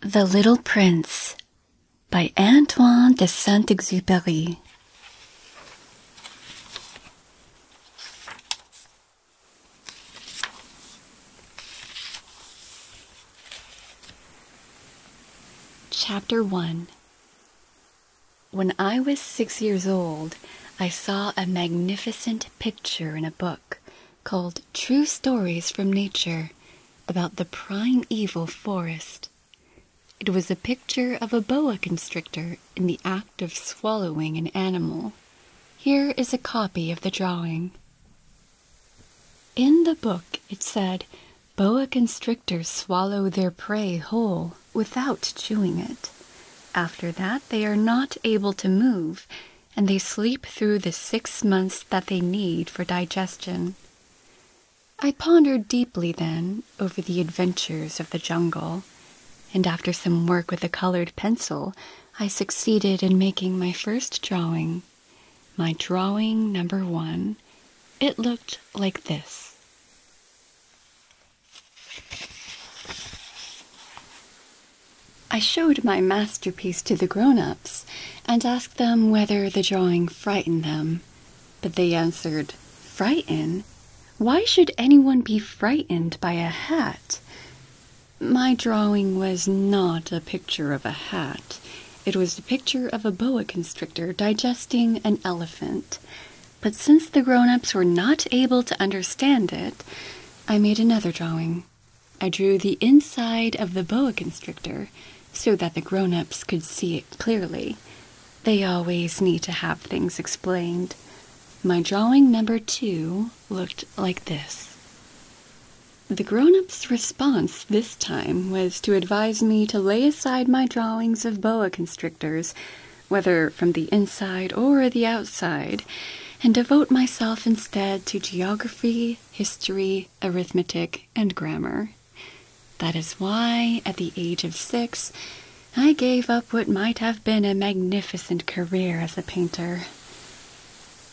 The Little Prince by Antoine de Saint Exupery. Chapter 1 When I was six years old, I saw a magnificent picture in a book called True Stories from Nature about the primeval forest. It was a picture of a boa constrictor in the act of swallowing an animal. Here is a copy of the drawing. In the book, it said, boa constrictors swallow their prey whole without chewing it. After that, they are not able to move, and they sleep through the six months that they need for digestion. I pondered deeply then over the adventures of the jungle, and after some work with a colored pencil, I succeeded in making my first drawing, my drawing number one. It looked like this. I showed my masterpiece to the grown ups and asked them whether the drawing frightened them, but they answered, Frighten? Why should anyone be frightened by a hat? My drawing was not a picture of a hat. It was the picture of a boa constrictor digesting an elephant. But since the grown ups were not able to understand it, I made another drawing. I drew the inside of the boa constrictor so that the grown ups could see it clearly. They always need to have things explained. My drawing number two looked like this. The grown-up's response this time was to advise me to lay aside my drawings of boa constrictors, whether from the inside or the outside, and devote myself instead to geography, history, arithmetic, and grammar. That is why, at the age of six, I gave up what might have been a magnificent career as a painter.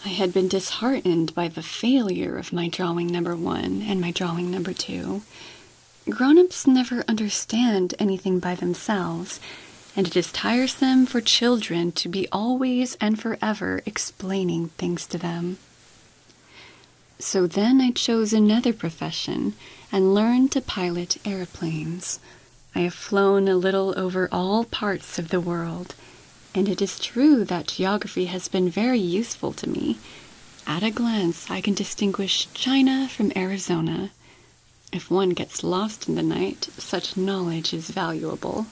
I had been disheartened by the failure of my drawing number one and my drawing number two. Grown ups never understand anything by themselves, and it is tiresome for children to be always and forever explaining things to them. So then I chose another profession and learned to pilot airplanes. I have flown a little over all parts of the world and it is true that geography has been very useful to me. At a glance, I can distinguish China from Arizona. If one gets lost in the night, such knowledge is valuable.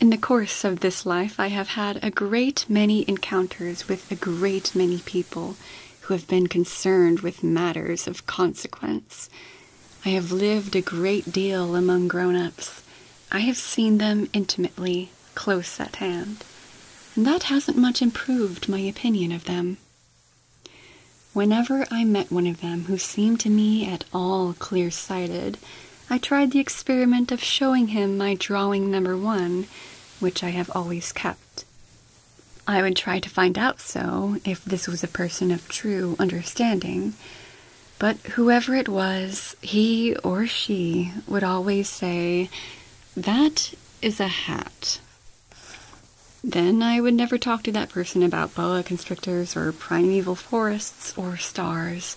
In the course of this life, I have had a great many encounters with a great many people who have been concerned with matters of consequence. I have lived a great deal among grown ups. I have seen them intimately, close at hand, and that hasn't much improved my opinion of them. Whenever I met one of them who seemed to me at all clear sighted, I tried the experiment of showing him my drawing number one, which I have always kept. I would try to find out so if this was a person of true understanding, but whoever it was, he or she would always say, That is a hat. Then I would never talk to that person about boa constrictors or primeval forests or stars.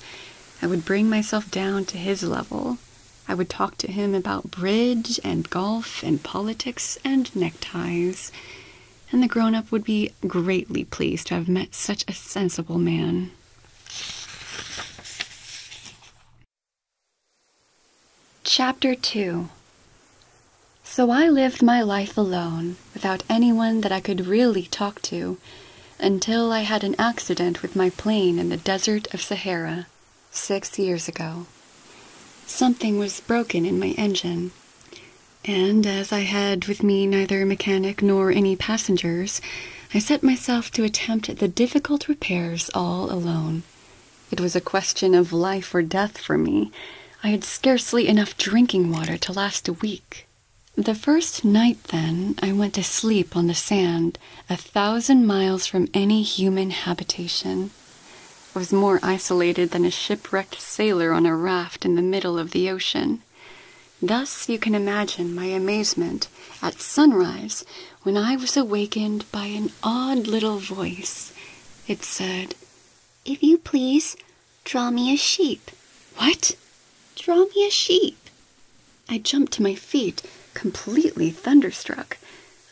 I would bring myself down to his level. I would talk to him about bridge and golf and politics and neckties. And the grown up would be greatly pleased to have met such a sensible man. Chapter 2 So I lived my life alone, without anyone that I could really talk to, until I had an accident with my plane in the desert of Sahara six years ago. Something was broken in my engine and as I had with me neither mechanic nor any passengers, I set myself to attempt the difficult repairs all alone. It was a question of life or death for me. I had scarcely enough drinking water to last a week. The first night, then, I went to sleep on the sand, a thousand miles from any human habitation. I was more isolated than a shipwrecked sailor on a raft in the middle of the ocean. Thus you can imagine my amazement at sunrise when I was awakened by an odd little voice. It said, If you please, draw me a sheep. What? Draw me a sheep. I jumped to my feet, completely thunderstruck.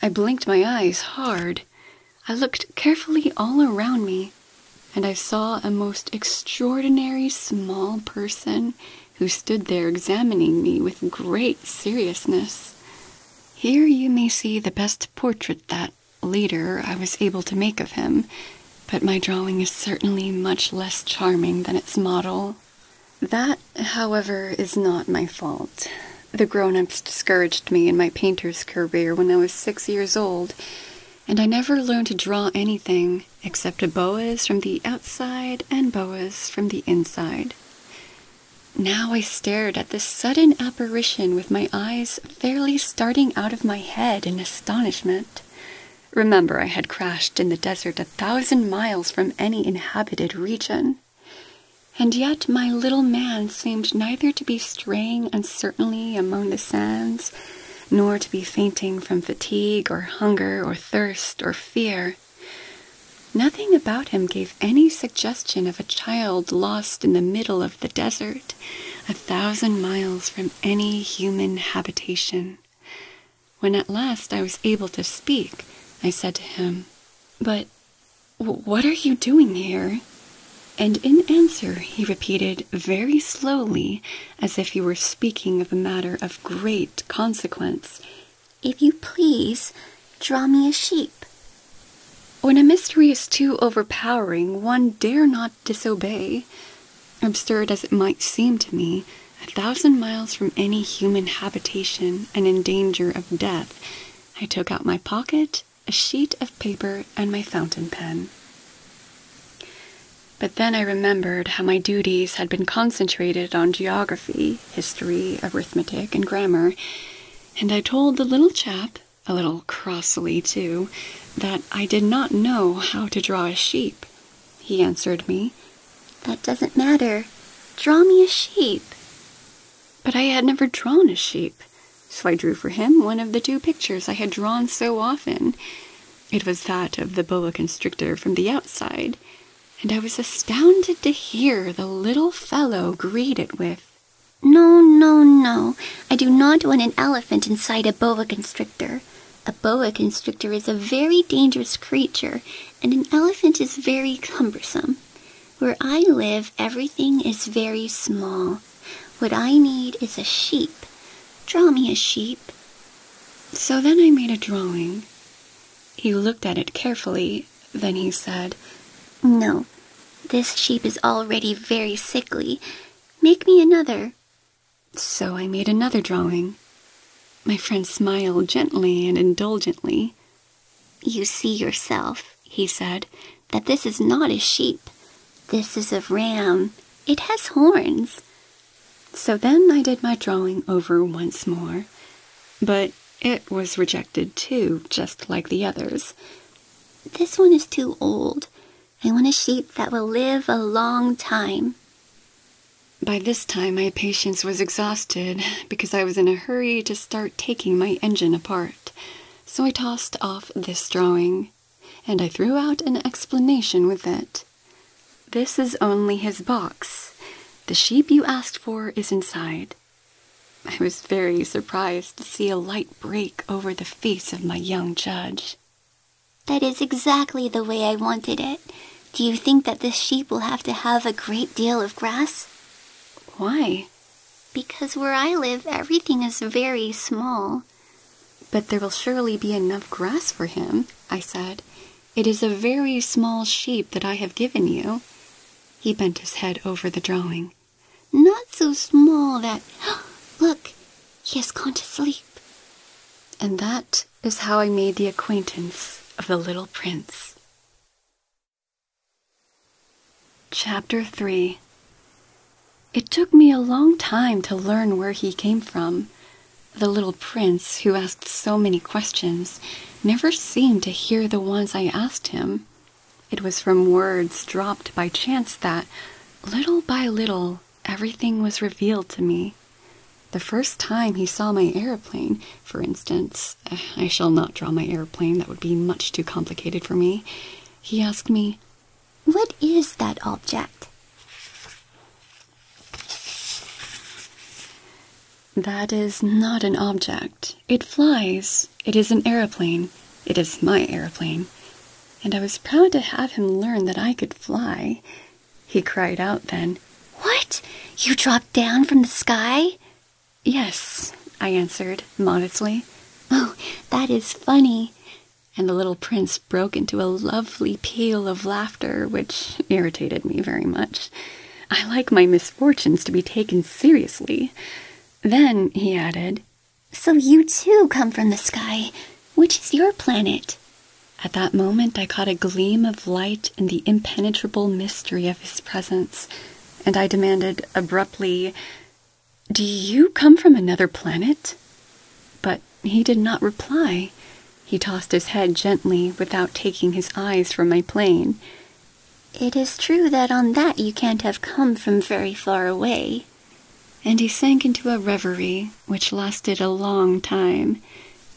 I blinked my eyes hard. I looked carefully all around me and I saw a most extraordinary small person who stood there examining me with great seriousness. Here you may see the best portrait that, later, I was able to make of him, but my drawing is certainly much less charming than its model. That, however, is not my fault. The grown ups discouraged me in my painter's career when I was six years old, and I never learned to draw anything except a boa from the outside and boas from the inside. Now I stared at this sudden apparition with my eyes fairly starting out of my head in astonishment. Remember, I had crashed in the desert a thousand miles from any inhabited region. And yet my little man seemed neither to be straying uncertainly among the sands nor to be fainting from fatigue or hunger or thirst or fear. Nothing about him gave any suggestion of a child lost in the middle of the desert, a thousand miles from any human habitation. When at last I was able to speak, I said to him, But what are you doing here? And in answer, he repeated very slowly as if you were speaking of a matter of great consequence. If you please, draw me a sheep. When a mystery is too overpowering, one dare not disobey. Absurd as it might seem to me, a thousand miles from any human habitation and in danger of death, I took out my pocket, a sheet of paper, and my fountain pen. But then I remembered how my duties had been concentrated on geography, history, arithmetic, and grammar, and I told the little chap, a little crossly too, that I did not know how to draw a sheep. He answered me, That doesn't matter. Draw me a sheep. But I had never drawn a sheep, so I drew for him one of the two pictures I had drawn so often. It was that of the boa constrictor from the outside, and I was astounded to hear the little fellow greet it with, No, no, no, I do not want an elephant inside a boa constrictor. A boa constrictor is a very dangerous creature, and an elephant is very cumbersome. Where I live, everything is very small. What I need is a sheep. Draw me a sheep. So then I made a drawing. He looked at it carefully, then he said, No, this sheep is already very sickly. Make me another. So I made another drawing. My friend smiled gently and indulgently. You see yourself, he said, that this is not a sheep. This is a ram. It has horns. So then I did my drawing over once more, but it was rejected too, just like the others. This one is too old. I want a sheep that will live a long time. By this time, my patience was exhausted because I was in a hurry to start taking my engine apart. So I tossed off this drawing, and I threw out an explanation with it. This is only his box. The sheep you asked for is inside. I was very surprised to see a light break over the face of my young judge. That is exactly the way I wanted it. Do you think that this sheep will have to have a great deal of grass? Why? Because where I live, everything is very small. But there will surely be enough grass for him, I said, it is a very small sheep that I have given you. He bent his head over the drawing. Not so small that. Look, he has gone to sleep. And that is how I made the acquaintance of the little prince. Chapter 3 It took me a long time to learn where he came from, the little prince, who asked so many questions, never seemed to hear the ones I asked him. It was from words dropped by chance that, little by little, everything was revealed to me. The first time he saw my airplane, for instance, I shall not draw my airplane, that would be much too complicated for me, he asked me, What is that object? That is not an object. It flies. It is an aeroplane. It is my aeroplane. And I was proud to have him learn that I could fly. He cried out then, What? You dropped down from the sky? Yes, I answered modestly. Oh, that is funny. And the little prince broke into a lovely peal of laughter, which irritated me very much. I like my misfortunes to be taken seriously. Then he added, So you too come from the sky. Which is your planet? At that moment, I caught a gleam of light in the impenetrable mystery of his presence, and I demanded abruptly, Do you come from another planet? But he did not reply. He tossed his head gently without taking his eyes from my plane. It is true that on that you can't have come from very far away. And he sank into a reverie which lasted a long time.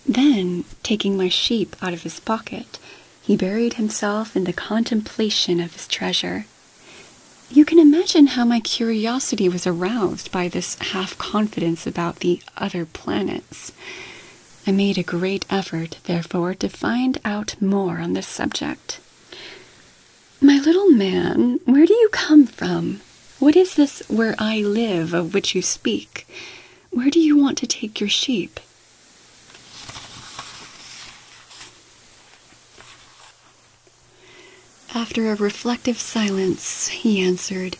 Then, taking my sheep out of his pocket, he buried himself in the contemplation of his treasure. You can imagine how my curiosity was aroused by this half confidence about the other planets. I made a great effort, therefore, to find out more on this subject. My little man, where do you come from? What is this where I live of which you speak? Where do you want to take your sheep? After a reflective silence, he answered,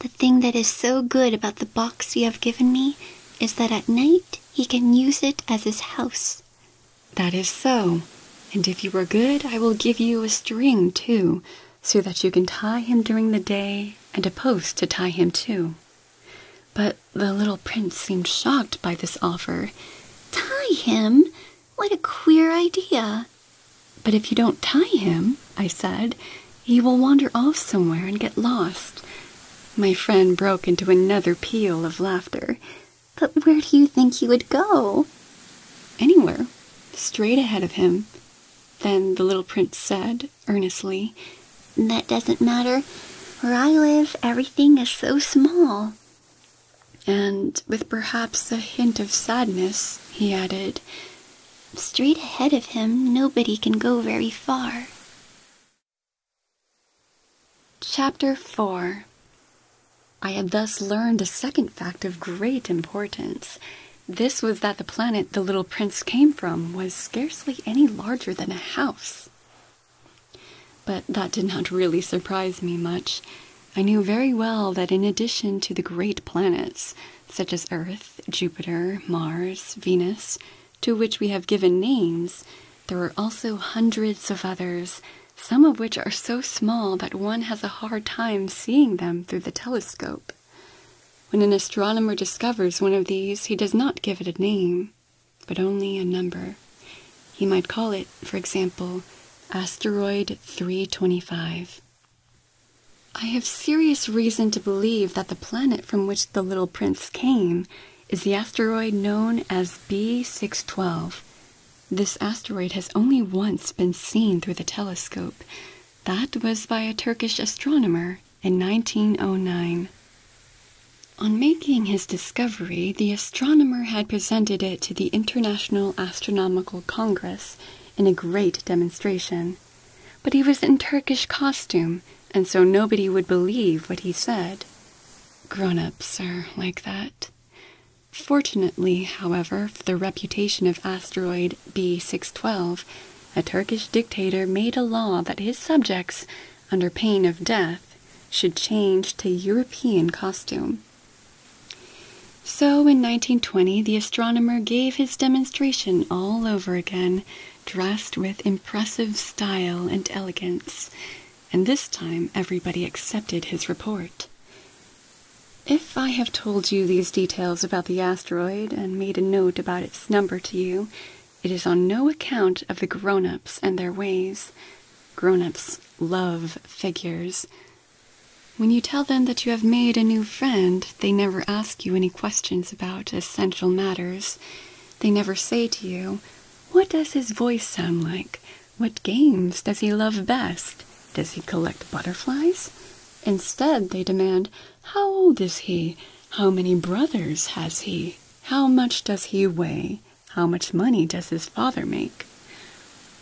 the thing that is so good about the box you have given me is that at night he can use it as his house. That is so. And if you are good, I will give you a string, too, so that you can tie him during the day and a post to tie him to. But the little prince seemed shocked by this offer. Tie him? What a queer idea! But if you don't tie him, I said, he will wander off somewhere and get lost. My friend broke into another peal of laughter. But where do you think he would go? Anywhere. Straight ahead of him. Then the little prince said, earnestly, That doesn't matter. Where I live, everything is so small. And with perhaps a hint of sadness, he added, Straight ahead of him, nobody can go very far. Chapter 4 I had thus learned a second fact of great importance. This was that the planet the little prince came from was scarcely any larger than a house. But that did not really surprise me much. I knew very well that in addition to the great planets, such as Earth, Jupiter, Mars, Venus, to which we have given names, there are also hundreds of others, some of which are so small that one has a hard time seeing them through the telescope. When an astronomer discovers one of these, he does not give it a name, but only a number. He might call it, for example, Asteroid 325. I have serious reason to believe that the planet from which the little prince came is the asteroid known as B612. This asteroid has only once been seen through the telescope. That was by a Turkish astronomer in 1909. On making his discovery, the astronomer had presented it to the International Astronomical Congress in a great demonstration but he was in Turkish costume, and so nobody would believe what he said. Grown-ups are like that. Fortunately, however, for the reputation of asteroid B612, a Turkish dictator made a law that his subjects, under pain of death, should change to European costume. So in 1920, the astronomer gave his demonstration all over again, dressed with impressive style and elegance, and this time everybody accepted his report. If I have told you these details about the asteroid and made a note about its number to you, it is on no account of the grown ups and their ways. Grown ups love figures. When you tell them that you have made a new friend, they never ask you any questions about essential matters. They never say to you, What does his voice sound like? What games does he love best? Does he collect butterflies? Instead, they demand, How old is he? How many brothers has he? How much does he weigh? How much money does his father make?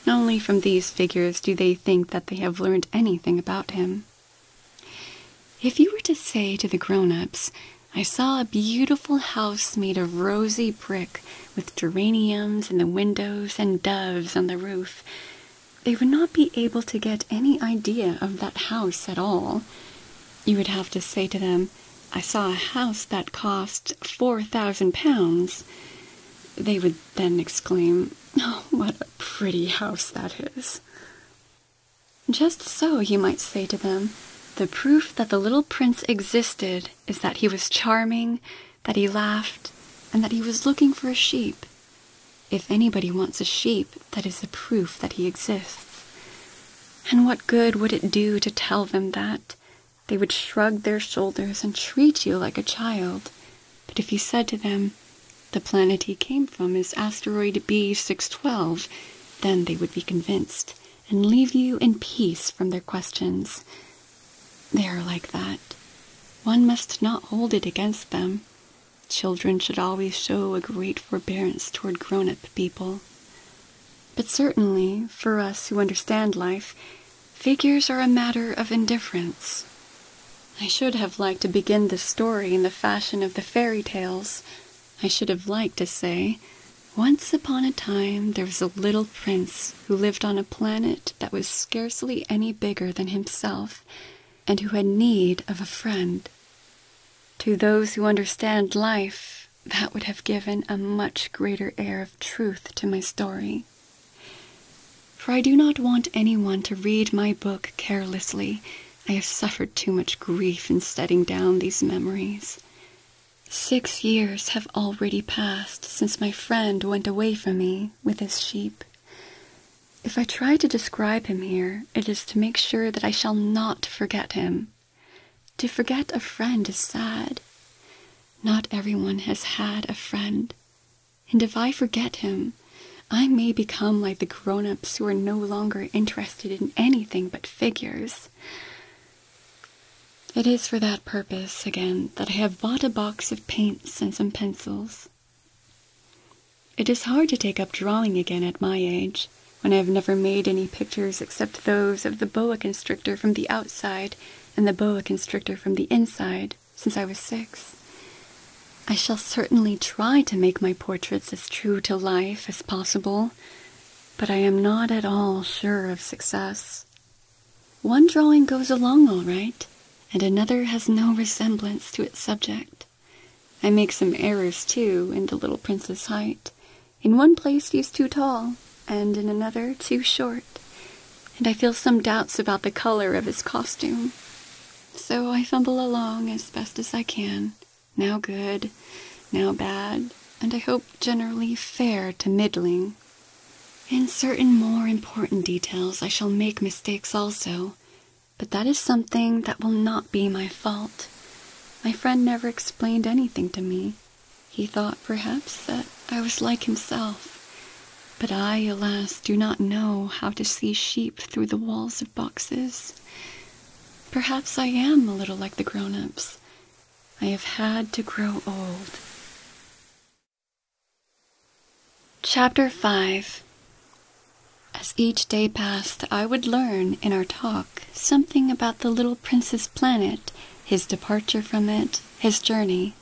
Only from these figures do they think that they have learned anything about him. If you were to say to the grown ups, I saw a beautiful house made of rosy brick with geraniums in the windows and doves on the roof, they would not be able to get any idea of that house at all. You would have to say to them, I saw a house that cost four thousand pounds. They would then exclaim, Oh, what a pretty house that is! Just so, you might say to them, the proof that the little prince existed is that he was charming, that he laughed, and that he was looking for a sheep. If anybody wants a sheep, that is the proof that he exists. And what good would it do to tell them that? They would shrug their shoulders and treat you like a child. But if you said to them, the planet he came from is asteroid B612, then they would be convinced and leave you in peace from their questions. They are like that. One must not hold it against them. Children should always show a great forbearance toward grown up people. But certainly, for us who understand life, figures are a matter of indifference. I should have liked to begin the story in the fashion of the fairy tales. I should have liked to say, Once upon a time there was a little prince who lived on a planet that was scarcely any bigger than himself, and who had need of a friend. To those who understand life, that would have given a much greater air of truth to my story. For I do not want anyone to read my book carelessly I have suffered too much grief in setting down these memories. Six years have already passed since my friend went away from me with his sheep. If I try to describe him here, it is to make sure that I shall not forget him. To forget a friend is sad. Not everyone has had a friend, and if I forget him, I may become like the grown ups who are no longer interested in anything but figures. It is for that purpose, again, that I have bought a box of paints and some pencils. It is hard to take up drawing again at my age, when I have never made any pictures except those of the boa constrictor from the outside and the boa constrictor from the inside since I was six. I shall certainly try to make my portraits as true to life as possible, but I am not at all sure of success. One drawing goes along all right, and another has no resemblance to its subject. I make some errors too in The Little Prince's Height. In one place he's too tall, and in another too short, and I feel some doubts about the color of his costume. So I fumble along as best as I can now good, now bad, and I hope generally fair to middling. In certain more important details, I shall make mistakes also, but that is something that will not be my fault. My friend never explained anything to me. He thought, perhaps, that I was like himself. But I, alas, do not know how to see sheep through the walls of boxes. Perhaps I am a little like the grown ups. I have had to grow old. Chapter 5 As each day passed, I would learn in our talk something about the little prince's planet, his departure from it, his journey.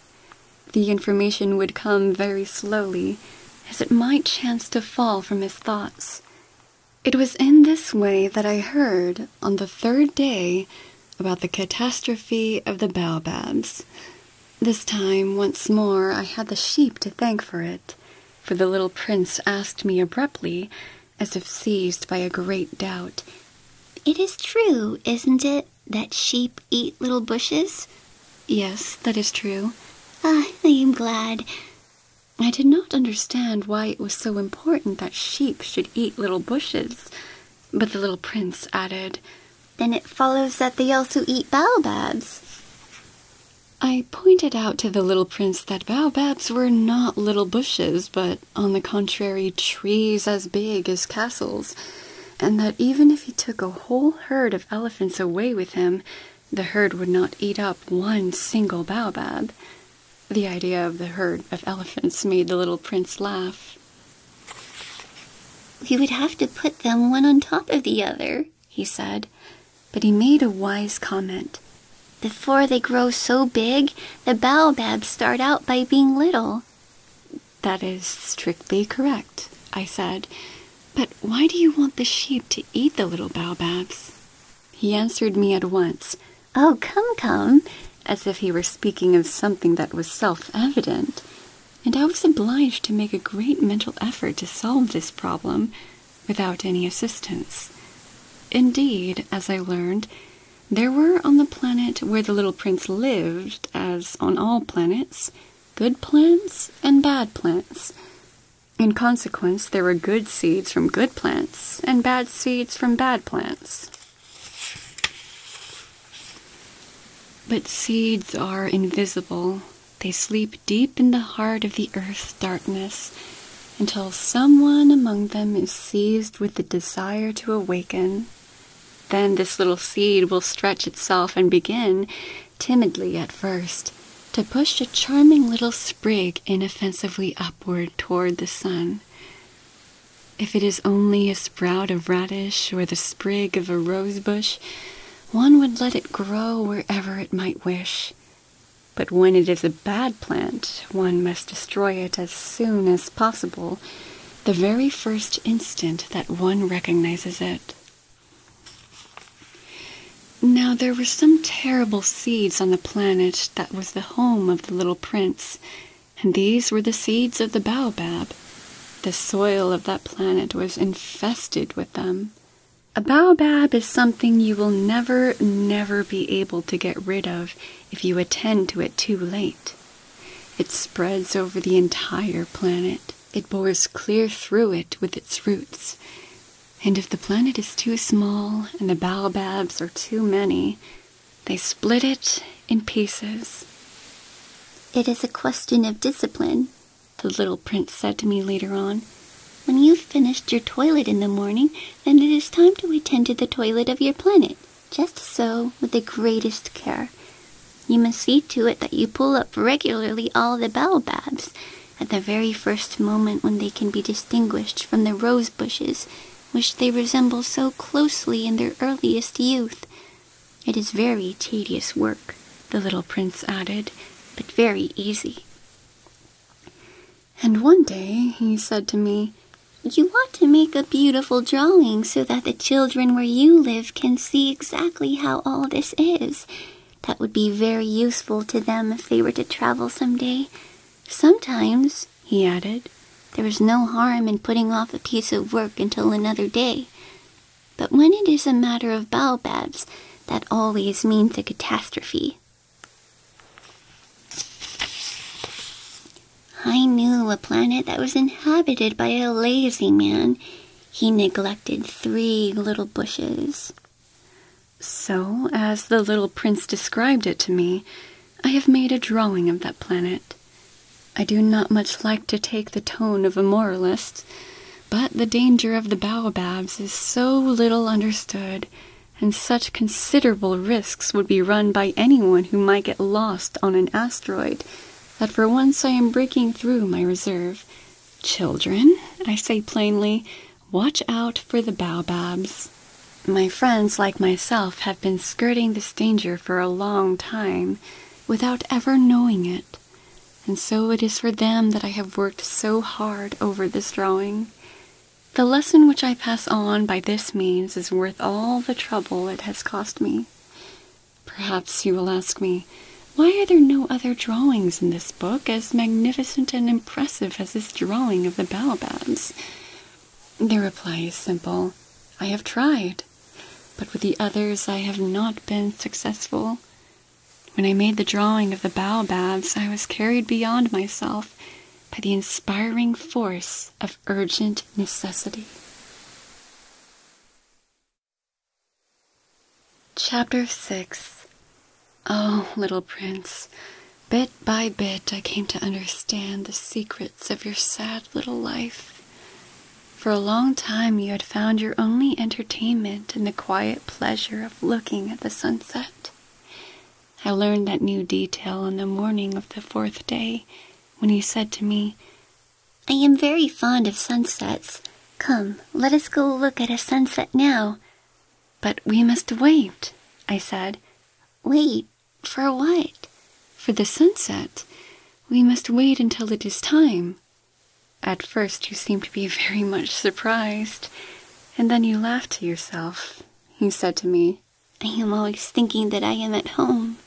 The information would come very slowly, as it might chance to fall from his thoughts. It was in this way that I heard, on the third day, about the catastrophe of the baobabs. This time, once more, I had the sheep to thank for it, for the little prince asked me abruptly, as if seized by a great doubt, It is true, isn't it, that sheep eat little bushes? Yes, that is true. Ah, I am glad. I did not understand why it was so important that sheep should eat little bushes, but the little prince added, Then it follows that they also eat baobabs. I pointed out to the little prince that baobabs were not little bushes, but on the contrary, trees as big as castles, and that even if he took a whole herd of elephants away with him, the herd would not eat up one single baobab. The idea of the herd of elephants made the little prince laugh. We would have to put them one on top of the other, he said, but he made a wise comment. Before they grow so big, the baobabs start out by being little. That is strictly correct, I said. But why do you want the sheep to eat the little baobabs? He answered me at once, Oh, come, come, as if he were speaking of something that was self evident, and I was obliged to make a great mental effort to solve this problem without any assistance. Indeed, as I learned, there were on the planet where the little prince lived, as on all planets, good plants and bad plants, in consequence, there are good seeds from good plants and bad seeds from bad plants. But seeds are invisible. They sleep deep in the heart of the earth's darkness until someone among them is seized with the desire to awaken. Then this little seed will stretch itself and begin, timidly at first, to push a charming little sprig inoffensively upward toward the sun. If it is only a sprout of radish or the sprig of a rose bush, one would let it grow wherever it might wish. But when it is a bad plant, one must destroy it as soon as possible, the very first instant that one recognizes it. Now there were some terrible seeds on the planet that was the home of the little prince, and these were the seeds of the baobab. The soil of that planet was infested with them. A baobab is something you will never, never be able to get rid of if you attend to it too late. It spreads over the entire planet. It bores clear through it with its roots. And if the planet is too small and the baobabs are too many, they split it in pieces. It is a question of discipline, the little prince said to me later on. When you've finished your toilet in the morning, then it is time to attend to the toilet of your planet, just so, with the greatest care. You must see to it that you pull up regularly all the baobabs, at the very first moment when they can be distinguished from the rose bushes which they resemble so closely in their earliest youth. It is very tedious work, the little prince added, but very easy. And one day he said to me, You ought to make a beautiful drawing so that the children where you live can see exactly how all this is, that would be very useful to them if they were to travel some day. Sometimes, he added, there is no harm in putting off a piece of work until another day. But when it is a matter of baobabs, that always means a catastrophe. I knew a planet that was inhabited by a lazy man. He neglected three little bushes. So, as the little prince described it to me, I have made a drawing of that planet. I do not much like to take the tone of a moralist, but the danger of the baobabs is so little understood, and such considerable risks would be run by anyone who might get lost on an asteroid, that for once I am breaking through my reserve. Children, I say plainly, Watch out for the baobabs. My friends, like myself, have been skirting this danger for a long time without ever knowing it, and so it is for them that I have worked so hard over this drawing. The lesson which I pass on by this means is worth all the trouble it has cost me. Perhaps you will ask me, why are there no other drawings in this book as magnificent and impressive as this drawing of the baobabs? The reply is simple. I have tried, but with the others I have not been successful. When I made the drawing of the baobabs, I was carried beyond myself by the inspiring force of urgent necessity. Chapter 6 Oh, little prince, bit by bit I came to understand the secrets of your sad little life. For a long time you had found your only entertainment in the quiet pleasure of looking at the sunset. I learned that new detail on the morning of the fourth day when he said to me, I am very fond of sunsets. Come, let us go look at a sunset now. But we must wait, I said. Wait? For what? For the sunset. We must wait until it is time. At first, you seemed to be very much surprised, and then you laughed to yourself. You said to me, I am always thinking that I am at home.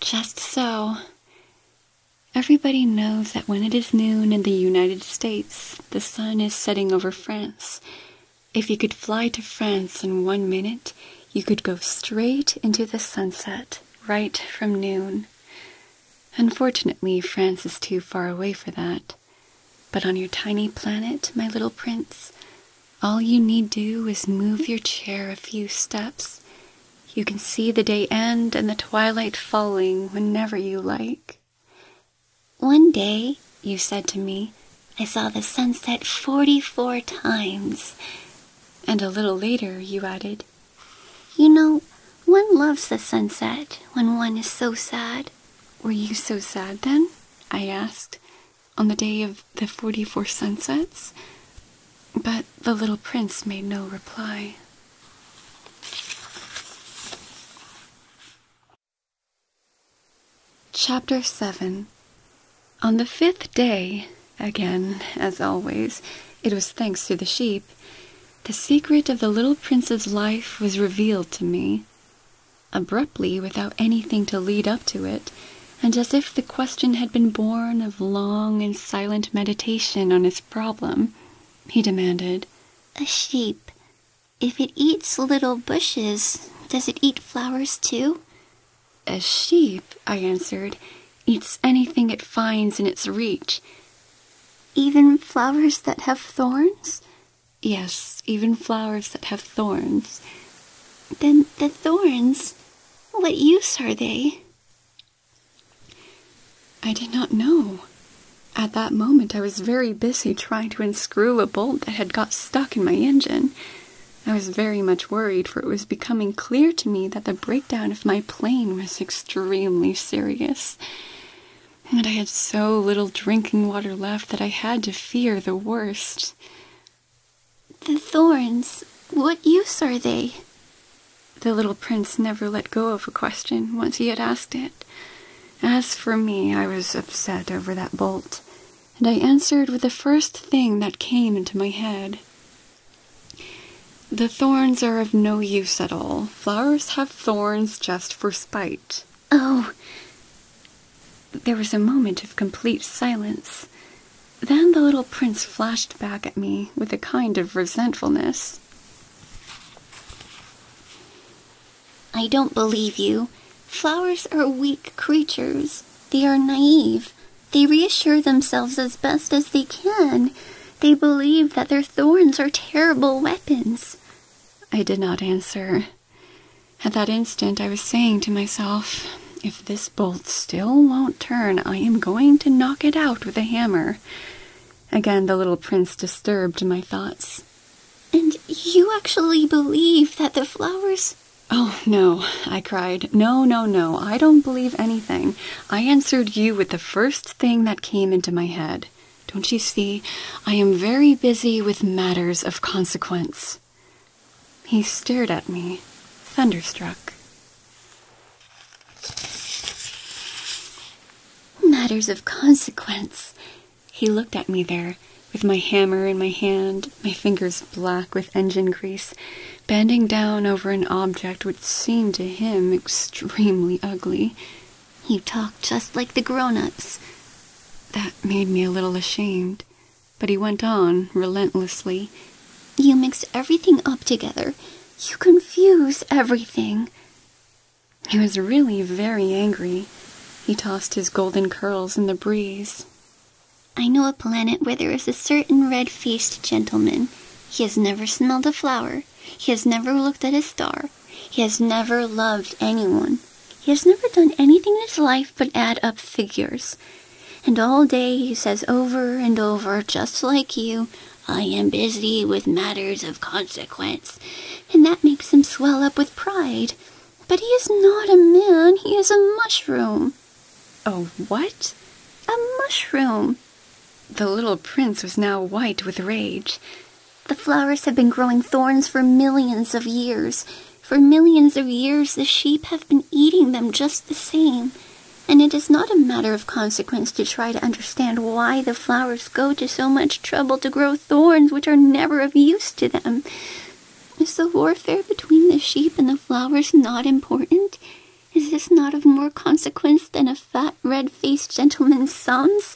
Just so. Everybody knows that when it is noon in the United States, the sun is setting over France, if you could fly to France in one minute, you could go straight into the sunset, right from noon. Unfortunately, France is too far away for that. But on your tiny planet, my little prince, all you need do is move your chair a few steps. You can see the day end and the twilight falling whenever you like. One day, you said to me, I saw the sunset forty four times. And a little later, you added, You know, one loves the sunset when one is so sad. Were you so sad then? I asked, on the day of the forty four sunsets. But the little prince made no reply. Chapter 7 On the fifth day, again, as always, it was thanks to the sheep, the secret of the little prince's life was revealed to me. Abruptly, without anything to lead up to it, and as if the question had been born of long and silent meditation on his problem, he demanded, A sheep, if it eats little bushes, does it eat flowers too? A sheep, I answered, eats anything it finds in its reach. Even flowers that have thorns? Yes, even flowers that have thorns. Then the thorns, what use are they? I did not know. At that moment, I was very busy trying to unscrew a bolt that had got stuck in my engine. I was very much worried, for it was becoming clear to me that the breakdown of my plane was extremely serious, and I had so little drinking water left that I had to fear the worst. The thorns, what use are they? The little prince never let go of a question once he had asked it. As for me, I was upset over that bolt, and I answered with the first thing that came into my head. The thorns are of no use at all. Flowers have thorns just for spite. Oh! There was a moment of complete silence. Then the little prince flashed back at me with a kind of resentfulness. I don't believe you. Flowers are weak creatures. They are naive. They reassure themselves as best as they can. They believe that their thorns are terrible weapons. I did not answer. At that instant, I was saying to myself, if this bolt still won't turn, I am going to knock it out with a hammer. Again, the little prince disturbed my thoughts. And you actually believe that the flowers. Oh, no, I cried. No, no, no, I don't believe anything. I answered you with the first thing that came into my head. Don't you see? I am very busy with matters of consequence. He stared at me, thunderstruck. Matters of consequence. He looked at me there, with my hammer in my hand, my fingers black with engine grease, bending down over an object which seemed to him extremely ugly. He talked just like the grown-ups. That made me a little ashamed, but he went on relentlessly. You mix everything up together. You confuse everything. He was really very angry. He tossed his golden curls in the breeze. I know a planet where there is a certain red faced gentleman. He has never smelled a flower. He has never looked at a star. He has never loved anyone. He has never done anything in his life but add up figures. And all day he says over and over, just like you, I am busy with matters of consequence, and that makes him swell up with pride. But he is not a man, he is a mushroom. Oh, what? A mushroom. The little prince was now white with rage. The flowers have been growing thorns for millions of years. For millions of years, the sheep have been eating them just the same. And it is not a matter of consequence to try to understand why the flowers go to so much trouble to grow thorns which are never of use to them. Is the warfare between the sheep and the flowers not important? Is this not of more consequence than a fat, red-faced gentleman's sums?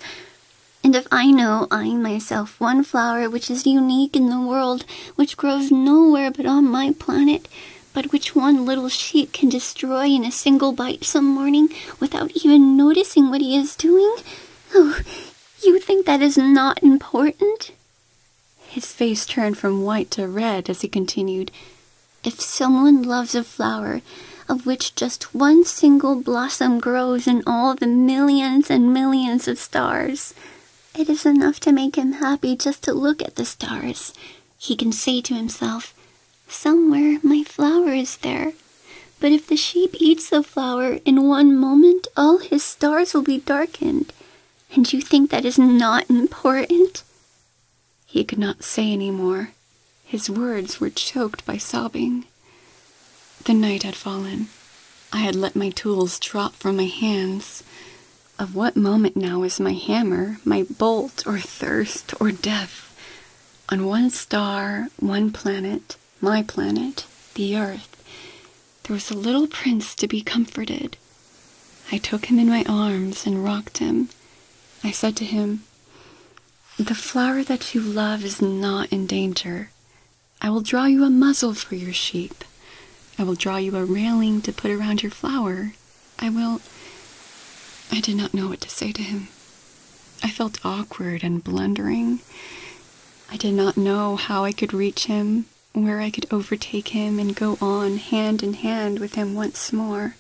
And if I know, I myself, one flower which is unique in the world, which grows nowhere but on my planet, but which one little sheep can destroy in a single bite some morning without even noticing what he is doing, oh, you think that is not important? His face turned from white to red as he continued. If someone loves a flower of which just one single blossom grows in all the millions and millions of stars, it is enough to make him happy just to look at the stars. He can say to himself, Somewhere my flower is there. But if the sheep eats the flower, in one moment all his stars will be darkened. And you think that is not important? He could not say any more. His words were choked by sobbing. The night had fallen. I had let my tools drop from my hands. Of what moment now is my hammer, my bolt, or thirst, or death? On one star, one planet, my planet, the Earth, there was a little prince to be comforted. I took him in my arms and rocked him. I said to him, The flower that you love is not in danger. I will draw you a muzzle for your sheep. I will draw you a railing to put around your flower. I will. I did not know what to say to him. I felt awkward and blundering. I did not know how I could reach him, where I could overtake him and go on hand in hand with him once more.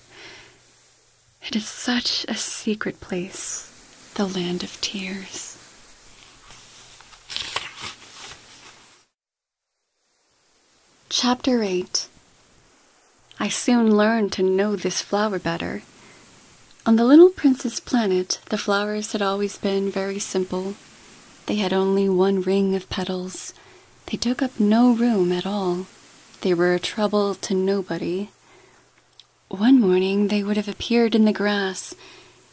It is such a secret place, the land of tears. Chapter 8 I soon learned to know this flower better. On the little prince's planet, the flowers had always been very simple they had only one ring of petals. They took up no room at all. They were a trouble to nobody. One morning they would have appeared in the grass,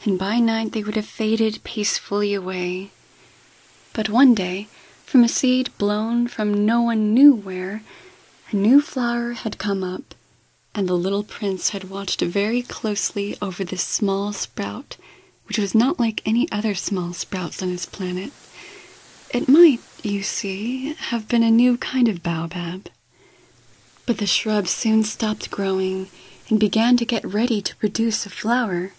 and by night they would have faded peacefully away. But one day, from a seed blown from no one knew where, a new flower had come up, and the little prince had watched very closely over this small sprout, which was not like any other small sprouts on his planet. It might, you see, have been a new kind of baobab. But the shrub soon stopped growing and began to get ready to produce a flower.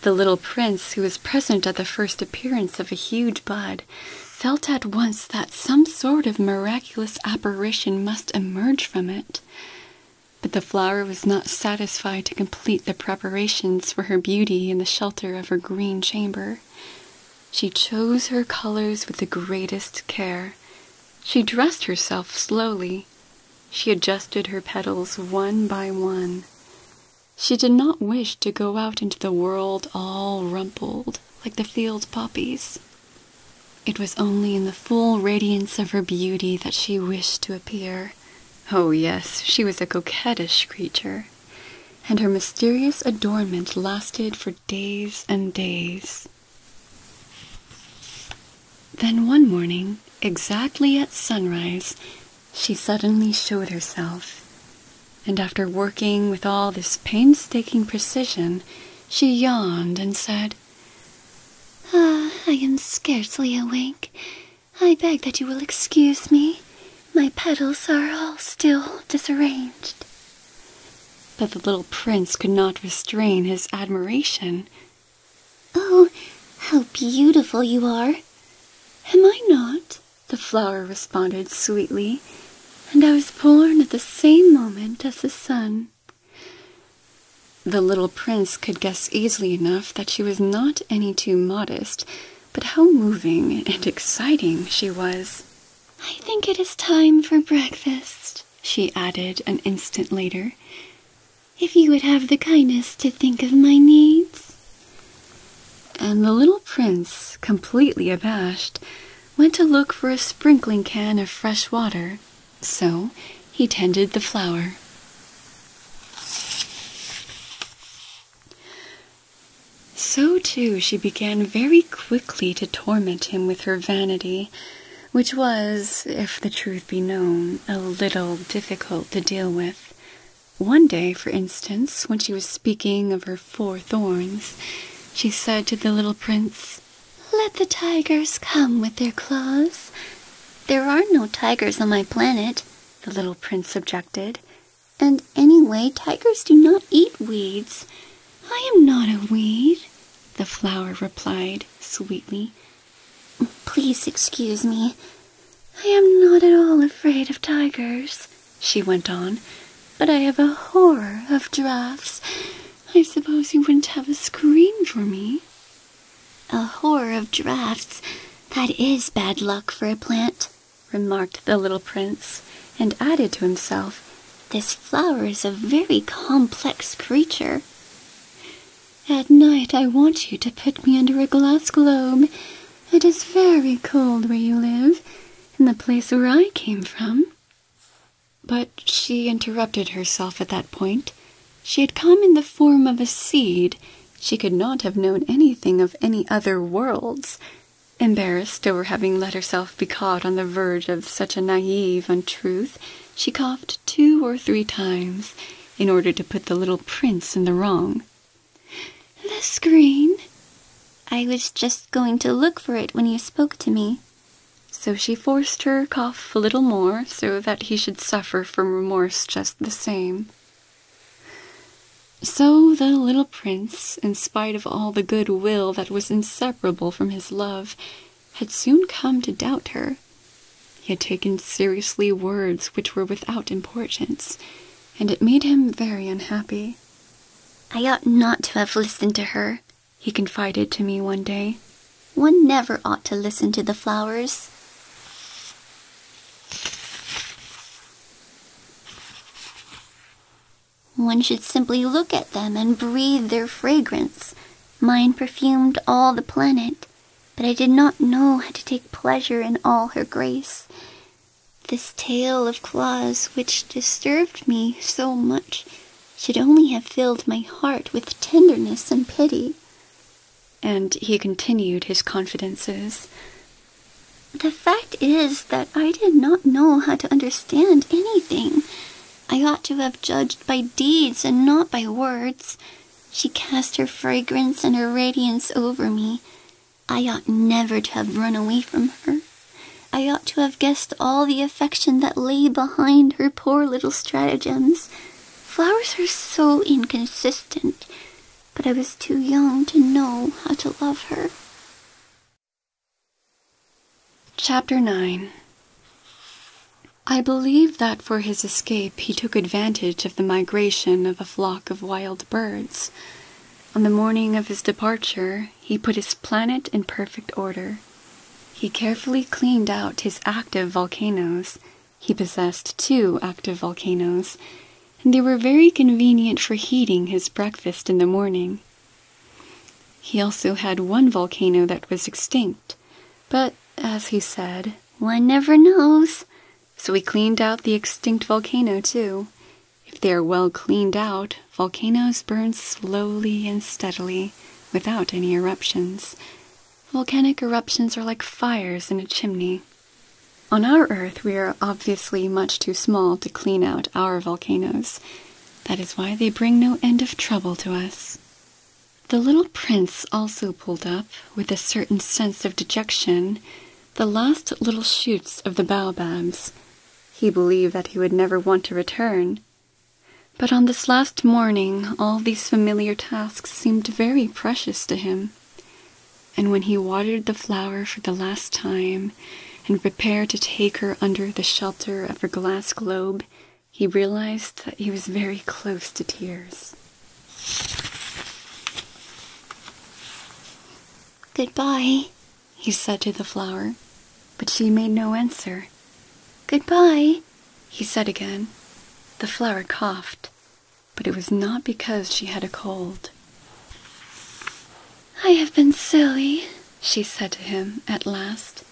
The little prince, who was present at the first appearance of a huge bud, felt at once that some sort of miraculous apparition must emerge from it but the flower was not satisfied to complete the preparations for her beauty in the shelter of her green chamber. She chose her colors with the greatest care. She dressed herself slowly. She adjusted her petals one by one. She did not wish to go out into the world all rumpled, like the field poppies. It was only in the full radiance of her beauty that she wished to appear. Oh, yes, she was a coquettish creature, and her mysterious adornment lasted for days and days. Then one morning, exactly at sunrise, she suddenly showed herself, and after working with all this painstaking precision, she yawned and said, Ah, I am scarcely awake. I beg that you will excuse me. My petals are all still disarranged. But the little prince could not restrain his admiration. Oh, how beautiful you are! Am I not? The flower responded sweetly, and I was born at the same moment as the sun. The little prince could guess easily enough that she was not any too modest, but how moving and exciting she was. I think it is time for breakfast, she added an instant later. If you would have the kindness to think of my needs. And the little prince, completely abashed, went to look for a sprinkling can of fresh water so he tended the flower. So too she began very quickly to torment him with her vanity, which was, if the truth be known, a little difficult to deal with. One day, for instance, when she was speaking of her four thorns, she said to the little prince, let the tigers come with their claws. There are no tigers on my planet, the little prince objected. And anyway, tigers do not eat weeds. I am not a weed, the flower replied sweetly. Please excuse me. I am not at all afraid of tigers, she went on, but I have a horror of draughts. I suppose you wouldn't have a screen for me. A horror of drafts. That is bad luck for a plant, remarked the little prince, and added to himself, This flower is a very complex creature. At night, I want you to put me under a glass globe. It is very cold where you live, in the place where I came from. But she interrupted herself at that point, she had come in the form of a seed. She could not have known anything of any other worlds. Embarrassed over having let herself be caught on the verge of such a naive untruth, she coughed two or three times in order to put the little prince in the wrong. The screen? I was just going to look for it when you spoke to me, so she forced her cough a little more so that he should suffer from remorse just the same. So the little prince, in spite of all the good will that was inseparable from his love, had soon come to doubt her. He had taken seriously words which were without importance, and it made him very unhappy. I ought not to have listened to her, he confided to me one day. One never ought to listen to the flowers. One should simply look at them and breathe their fragrance. Mine perfumed all the planet, but I did not know how to take pleasure in all her grace. This tale of claws, which disturbed me so much, should only have filled my heart with tenderness and pity and he continued his confidences. The fact is that I did not know how to understand anything. I ought to have judged by deeds and not by words. She cast her fragrance and her radiance over me. I ought never to have run away from her. I ought to have guessed all the affection that lay behind her poor little stratagems. Flowers are so inconsistent, but I was too young to know how to love her. Chapter 9 I believe that for his escape he took advantage of the migration of a flock of wild birds. On the morning of his departure, he put his planet in perfect order. He carefully cleaned out his active volcanoes he possessed two active volcanoes, and they were very convenient for heating his breakfast in the morning. He also had one volcano that was extinct, but as he said, one never knows. So he cleaned out the extinct volcano, too. If they are well cleaned out, volcanoes burn slowly and steadily, without any eruptions. Volcanic eruptions are like fires in a chimney. On our Earth, we are obviously much too small to clean out our volcanoes. That is why they bring no end of trouble to us. The little prince also pulled up, with a certain sense of dejection, the last little shoots of the baobabs. He believed that he would never want to return. But on this last morning, all these familiar tasks seemed very precious to him, and when he watered the flower for the last time and prepared to take her under the shelter of her glass globe, he realized that he was very close to tears. Goodbye, he said to the flower, but she made no answer. Goodbye, he said again. The flower coughed, but it was not because she had a cold. I have been silly, she said to him at last.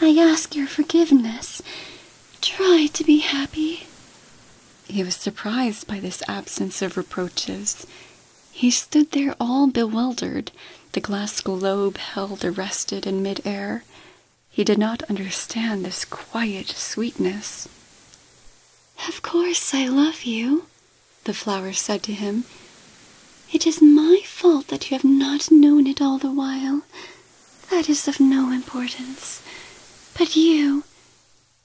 I ask your forgiveness. Try to be happy. He was surprised by this absence of reproaches. He stood there all bewildered, the glass globe held arrested in mid-air. He did not understand this quiet sweetness. Of course I love you, the flower said to him. It is my fault that you have not known it all the while. That is of no importance. But you,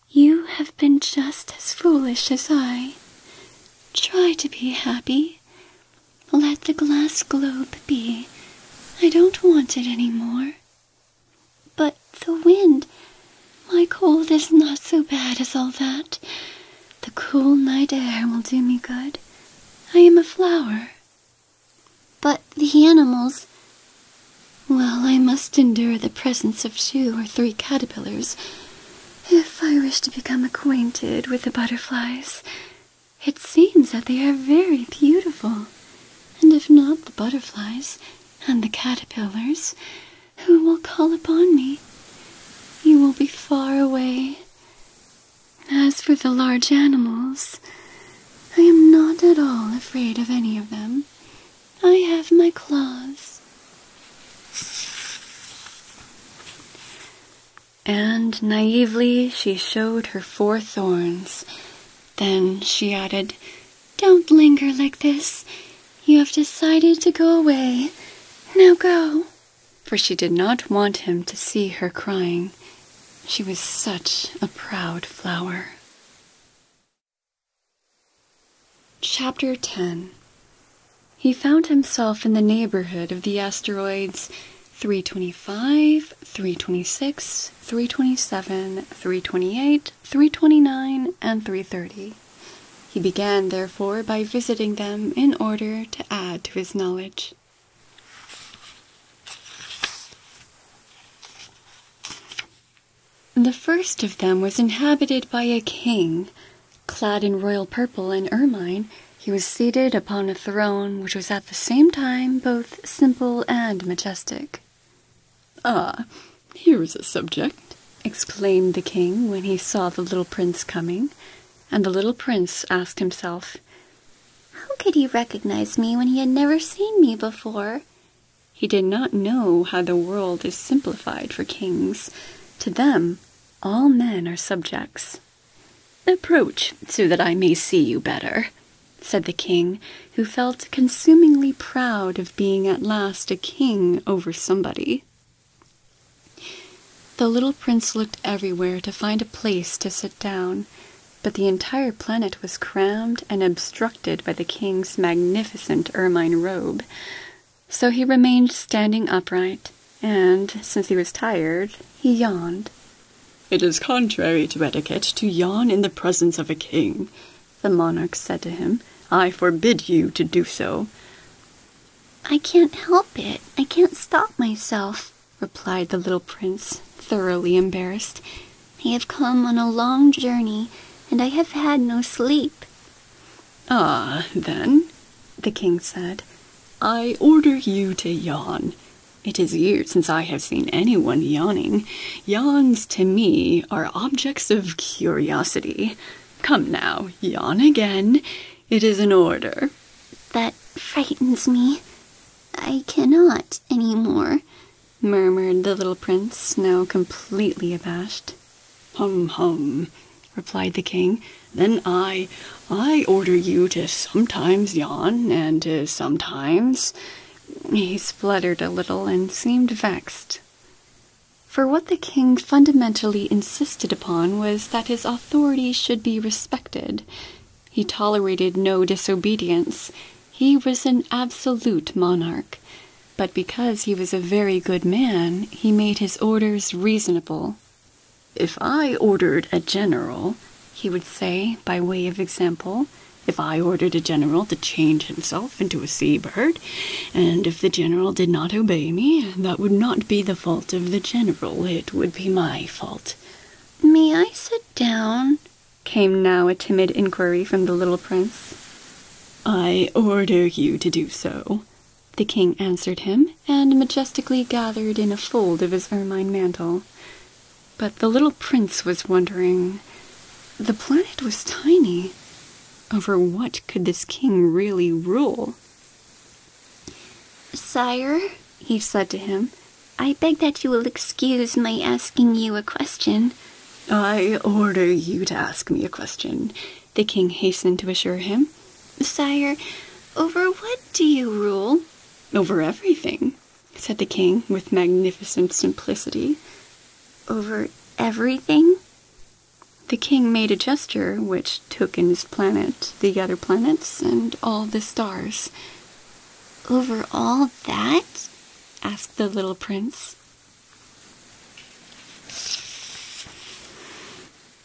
you have been just as foolish as I. Try to be happy. Let the glass globe be. I don't want it any more. But the wind. My cold is not so bad as all that. The cool night air will do me good. I am a flower. But the animals. Well, I must endure the presence of two or three caterpillars if I wish to become acquainted with the butterflies. It seems that they are very beautiful, and if not the butterflies and the caterpillars, who will call upon me? You will be far away. As for the large animals, I am not at all afraid of any of them. I have my claws. And naively she showed her four thorns, then she added, Don't linger like this. You have decided to go away. Now go. For she did not want him to see her crying. She was such a proud flower. Chapter 10 He found himself in the neighborhood of the asteroids 325, 326, 327, 328, 329, and 330. He began, therefore, by visiting them in order to add to his knowledge. The first of them was inhabited by a king. Clad in royal purple and ermine, he was seated upon a throne which was at the same time both simple and majestic. Ah, here is a subject, exclaimed the king when he saw the little prince coming, and the little prince asked himself, How could he recognize me when he had never seen me before? He did not know how the world is simplified for kings. To them, all men are subjects. Approach, so that I may see you better, said the king, who felt consumingly proud of being at last a king over somebody. The little prince looked everywhere to find a place to sit down, but the entire planet was crammed and obstructed by the king's magnificent ermine robe, so he remained standing upright, and, since he was tired, he yawned it is contrary to etiquette to yawn in the presence of a king, the monarch said to him. I forbid you to do so. I can't help it. I can't stop myself, replied the little prince, thoroughly embarrassed. I have come on a long journey, and I have had no sleep. Ah, then, the king said, I order you to yawn. It is years since I have seen anyone yawning. Yawns to me are objects of curiosity. Come now, yawn again. It is an order. That frightens me. I cannot any more, murmured the little prince, now completely abashed. Hum, hum, replied the king. Then I, I order you to sometimes yawn and to sometimes he spluttered a little and seemed vexed. For what the king fundamentally insisted upon was that his authority should be respected. He tolerated no disobedience. He was an absolute monarch. But because he was a very good man, he made his orders reasonable. If I ordered a general, he would say, by way of example, if I ordered a general to change himself into a sea bird, and if the general did not obey me, that would not be the fault of the general, it would be my fault. May I sit down? came now a timid inquiry from the little prince. I order you to do so, the king answered him, and majestically gathered in a fold of his ermine mantle. But the little prince was wondering. The planet was tiny. Over what could this king really rule? Sire, he said to him, I beg that you will excuse my asking you a question. I order you to ask me a question, the king hastened to assure him. Sire, over what do you rule? Over everything, said the king with magnificent simplicity. Over everything? The king made a gesture which took in his planet, the other planets, and all the stars. Over all that? asked the little prince.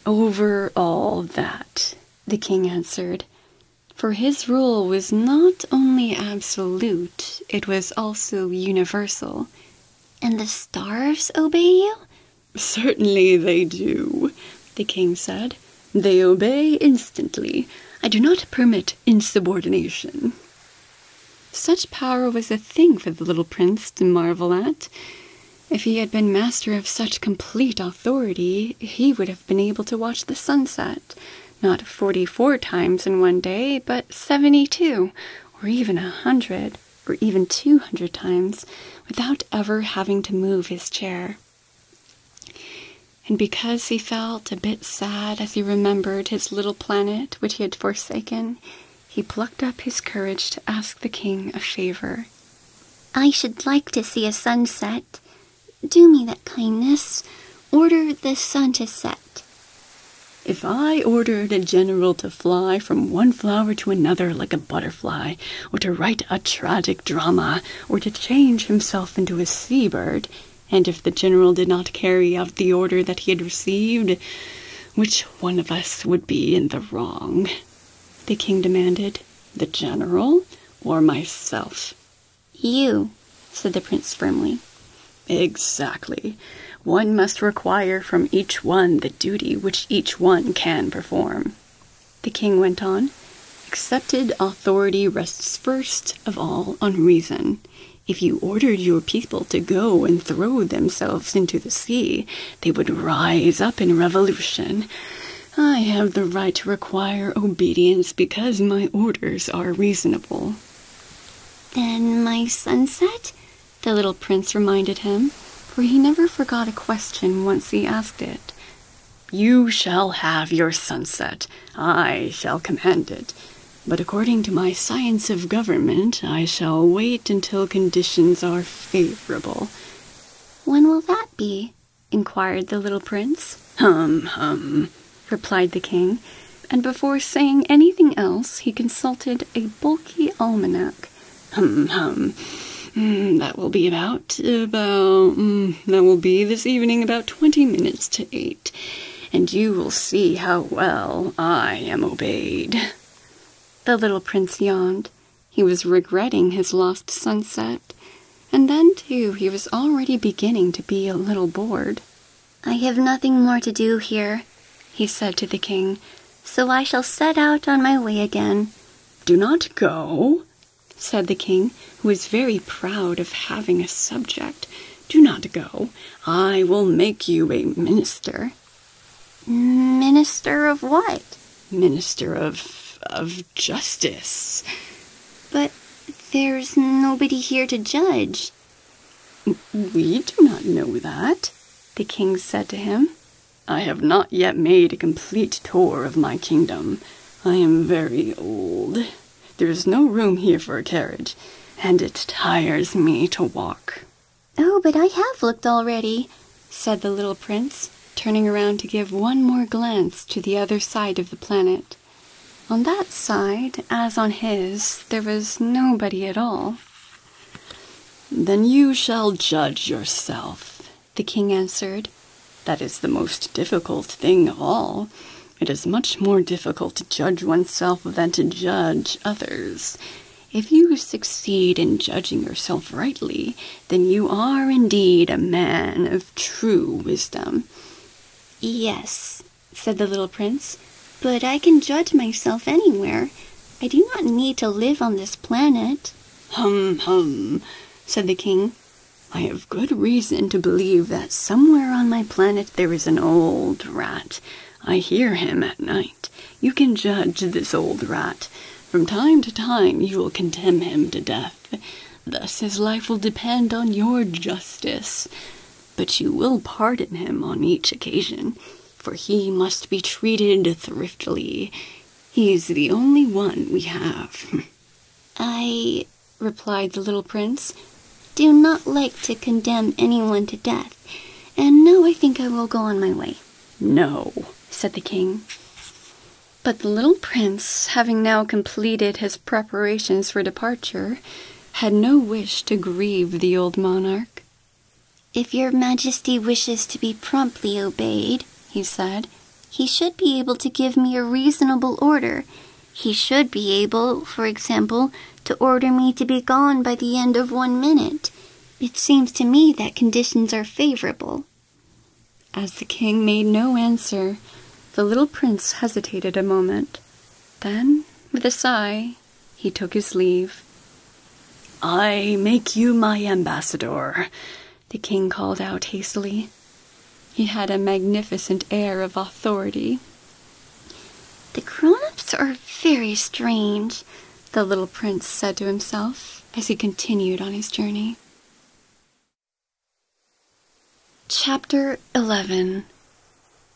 Over all that, the king answered, for his rule was not only absolute fruit, it was also universal. And the stars obey you? Certainly they do, the king said. They obey instantly. I do not permit insubordination. Such power was a thing for the little prince to marvel at. If he had been master of such complete authority, he would have been able to watch the sunset, not 44 times in one day, but 72, or even a 100, or even 200 times without ever having to move his chair. And because he felt a bit sad as he remembered his little planet which he had forsaken, he plucked up his courage to ask the king a favor. I should like to see a sunset. Do me that kindness, order the sun to set. If I ordered a general to fly from one flower to another like a butterfly, or to write a tragic drama, or to change himself into a sea bird, and if the general did not carry out the order that he had received, which one of us would be in the wrong? The king demanded. The general or myself? You, said the prince firmly. Exactly. One must require from each one the duty which each one can perform. The king went on. Accepted authority rests first of all on reason. If you ordered your people to go and throw themselves into the sea, they would rise up in revolution. I have the right to require obedience because my orders are reasonable. Then my sunset? the little prince reminded him, for he never forgot a question once he asked it. You shall have your sunset. I shall command it. But according to my science of government, I shall wait until conditions are favorable. When will that be? inquired the little prince. Hum, hum, replied the king, and before saying anything else, he consulted a bulky almanac. Hum, hum. Mm, that will be about, about, mm, that will be this evening about twenty minutes to eight, and you will see how well I am obeyed. The little prince yawned. He was regretting his lost sunset. And then, too, he was already beginning to be a little bored. I have nothing more to do here, he said to the king, so I shall set out on my way again. Do not go, said the king, who was very proud of having a subject. Do not go. I will make you a minister. Minister of what? Minister of. of justice. But there's nobody here to judge. We do not know that, the king said to him. I have not yet made a complete tour of my kingdom. I am very old. There is no room here for a carriage, and it tires me to walk. Oh, but I have looked already, said the little prince, turning around to give one more glance to the other side of the planet. On that side, as on his, there was nobody at all. Then you shall judge yourself, the king answered. That is the most difficult thing of all. It is much more difficult to judge oneself than to judge others. If you succeed in judging yourself rightly, then you are indeed a man of true wisdom. Yes, said the little prince, but I can judge myself anywhere. I do not need to live on this planet. Hum, hum, said the king. I have good reason to believe that somewhere on my planet there is an old rat. I hear him at night. You can judge this old rat. From time to time you will condemn him to death. Thus his life will depend on your justice but you will pardon him on each occasion, for he must be treated thriftily. He is the only one we have. I, replied the little prince, do not like to condemn anyone to death, and now I think I will go on my way. No, said the king. But the little prince, having now completed his preparations for departure, had no wish to grieve the old monarch. If your majesty wishes to be promptly obeyed, he said, he should be able to give me a reasonable order. He should be able, for example, to order me to be gone by the end of one minute. It seems to me that conditions are favorable. As the king made no answer, the little prince hesitated a moment. Then, with a sigh, he took his leave. I make you my ambassador, the king called out hastily. He had a magnificent air of authority. The grown-ups are very strange, the little prince said to himself as he continued on his journey. Chapter 11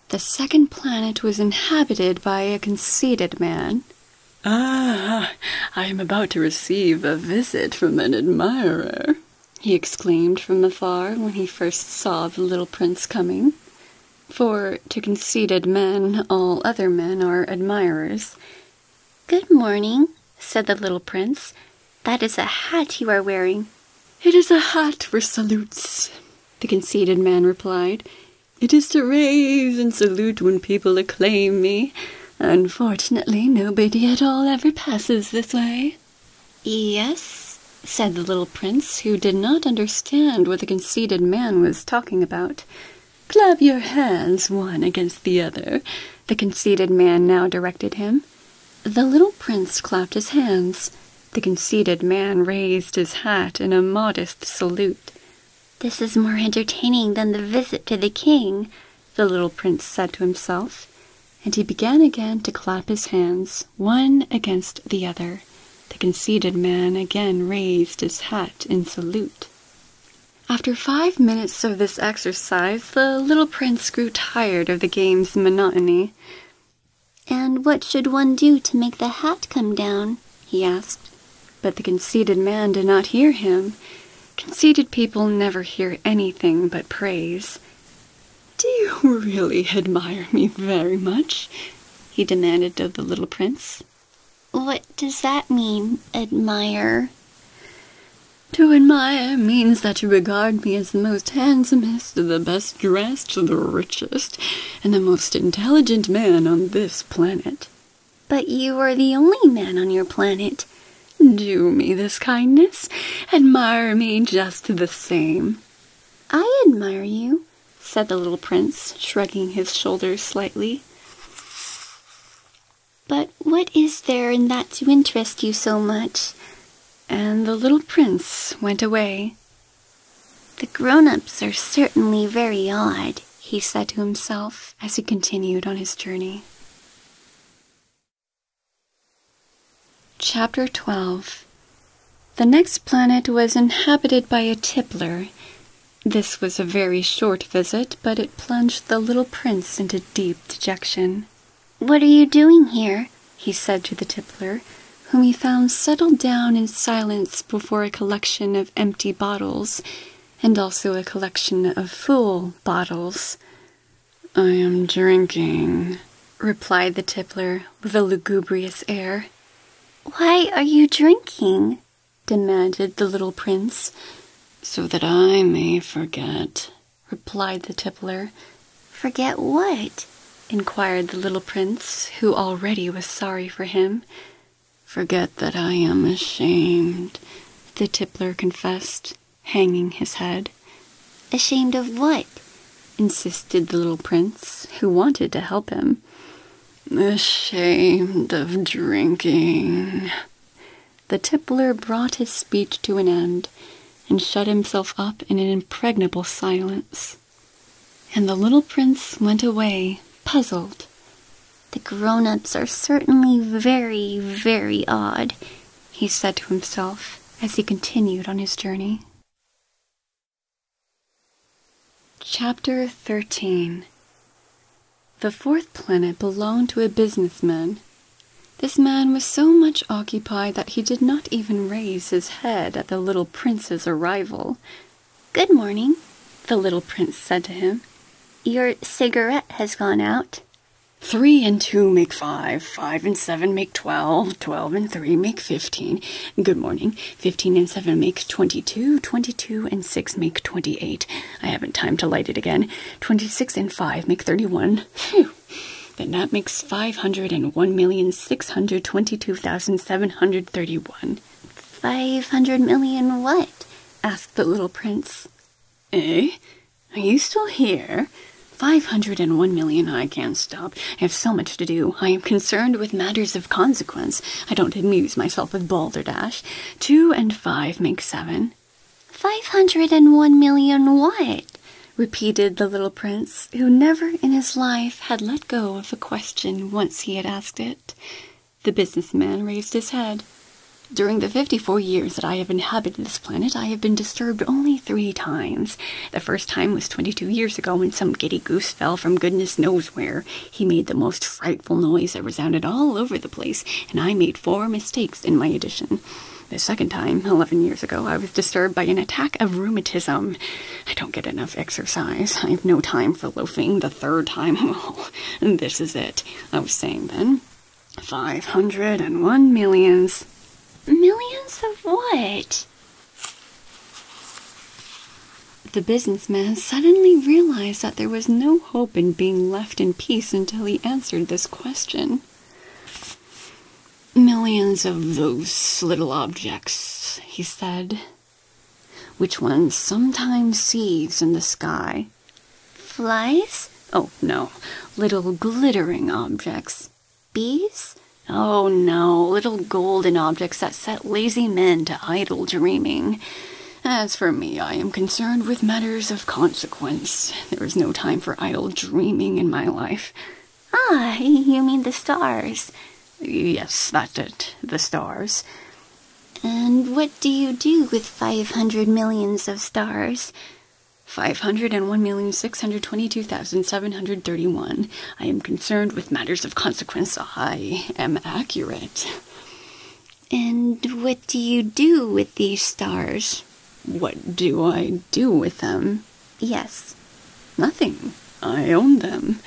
the second planet was inhabited by a conceited man. Ah, I am about to receive a visit from an admirer, he exclaimed from afar when he first saw the little prince coming. For to conceited men, all other men are admirers. Good morning, said the little prince. That is a hat you are wearing. It is a hat for salutes, the conceited man replied. It is to raise and salute when people acclaim me. Unfortunately, nobody at all ever passes this way. Yes, said the little prince, who did not understand what the conceited man was talking about. Clap your hands one against the other, the conceited man now directed him. The little prince clapped his hands. The conceited man raised his hat in a modest salute. This is more entertaining than the visit to the king, the little prince said to himself, and he began again to clap his hands, one against the other. The conceited man again raised his hat in salute. After five minutes of this exercise, the little prince grew tired of the game's monotony. And what should one do to make the hat come down? he asked. But the conceited man did not hear him. Conceited people never hear anything but praise. Do you really admire me very much? he demanded of the little prince. What does that mean, admire? To admire means that you regard me as the most handsomest, the best dressed, the richest, and the most intelligent man on this planet. But you are the only man on your planet. Do me this kindness. Admire me just the same. I admire you, said the little prince, shrugging his shoulders slightly. But what is there in that to interest you so much? And the little prince went away. The grown ups are certainly very odd, he said to himself as he continued on his journey. Chapter 12 The next planet was inhabited by a tippler. This was a very short visit, but it plunged the little prince into deep dejection. What are you doing here? he said to the tippler, whom he found settled down in silence before a collection of empty bottles, and also a collection of full bottles. I am drinking, replied the tippler with a lugubrious air. Why are you drinking? demanded the little prince. So that I may forget, replied the tippler. Forget what? inquired the little prince, who already was sorry for him. Forget that I am ashamed, the tippler confessed, hanging his head. Ashamed of what? insisted the little prince, who wanted to help him. Ashamed of drinking. The tippler brought his speech to an end and shut himself up in an impregnable silence. And the little prince went away, puzzled. The grown ups are certainly very, very odd, he said to himself as he continued on his journey. Chapter 13 The fourth planet belonged to a businessman. This man was so much occupied that he did not even raise his head at the little prince's arrival, Good morning, the little prince said to him. Your cigarette has gone out. Three and two make five, five and seven make twelve, twelve and three make fifteen. Good morning. Fifteen and seven make twenty-two, twenty-two and six make twenty-eight. I haven't time to light it again. Twenty-six and five make thirty-one. Phew. Then that makes five hundred and one million six hundred twenty-two thousand seven hundred thirty-one. Five hundred million what? asked the little prince. Eh? Are you still here? Five hundred and one million, I can't stop. I have so much to do. I am concerned with matters of consequence. I don't amuse myself with balderdash. Two and five make seven. Five hundred and one million what? repeated the little prince, who never in his life had let go of a question once he had asked it. The businessman raised his head. During the fifty-four years that I have inhabited this planet, I have been disturbed only three times. The first time was twenty-two years ago when some giddy goose fell from goodness knows where. He made the most frightful noise that resounded all over the place, and I made four mistakes in my edition. The second time, eleven years ago, I was disturbed by an attack of rheumatism. I don't get enough exercise. I have no time for loafing. The third time, oh, this is it. I was saying then. 501 millions. Millions of what? The businessman suddenly realized that there was no hope in being left in peace until he answered this question. Millions of those little objects, he said, which one sometimes sees in the sky. Flies? Oh, no. Little glittering objects. Bees? Oh, no. Little golden objects that set lazy men to idle dreaming. As for me, I am concerned with matters of consequence. There is no time for idle dreaming in my life. Ah, you mean the stars. Yes, that's it. The stars. And what do you do with five hundred millions of stars? Five hundred and one million six hundred twenty-two thousand seven hundred thirty-one. I am concerned with matters of consequence. I am accurate. And what do you do with these stars? What do I do with them? Yes. Nothing. I own them.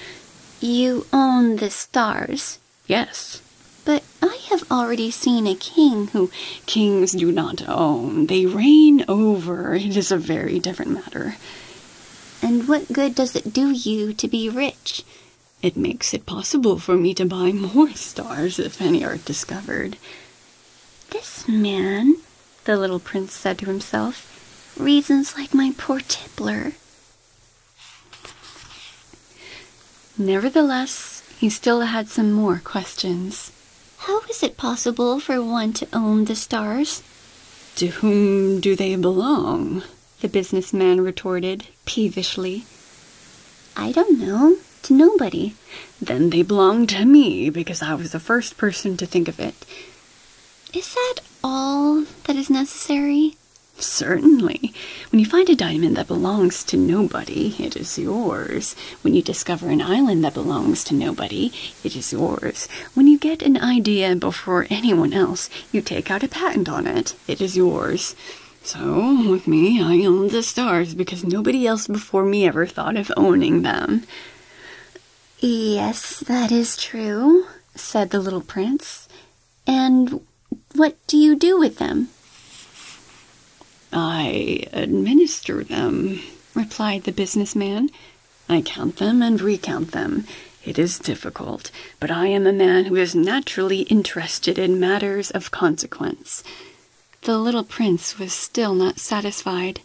You own the stars? Yes. But I have already seen a king who. Kings do not own. They reign over. It is a very different matter. And what good does it do you to be rich? It makes it possible for me to buy more stars if any are discovered. This man, the little prince said to himself, reasons like my poor tippler. Nevertheless, he still had some more questions. How is it possible for one to own the stars? To whom do they belong? The businessman retorted peevishly. I don't know. To nobody. Then they belong to me because I was the first person to think of it. Is that all that is necessary? Certainly. When you find a diamond that belongs to nobody, it is yours. When you discover an island that belongs to nobody, it is yours. When you get an idea before anyone else, you take out a patent on it, it is yours. So, with me, I own the stars because nobody else before me ever thought of owning them. Yes, that is true, said the little prince. And what do you do with them? I administer them, replied the businessman. I count them and recount them. It is difficult, but I am a man who is naturally interested in matters of consequence. The little prince was still not satisfied.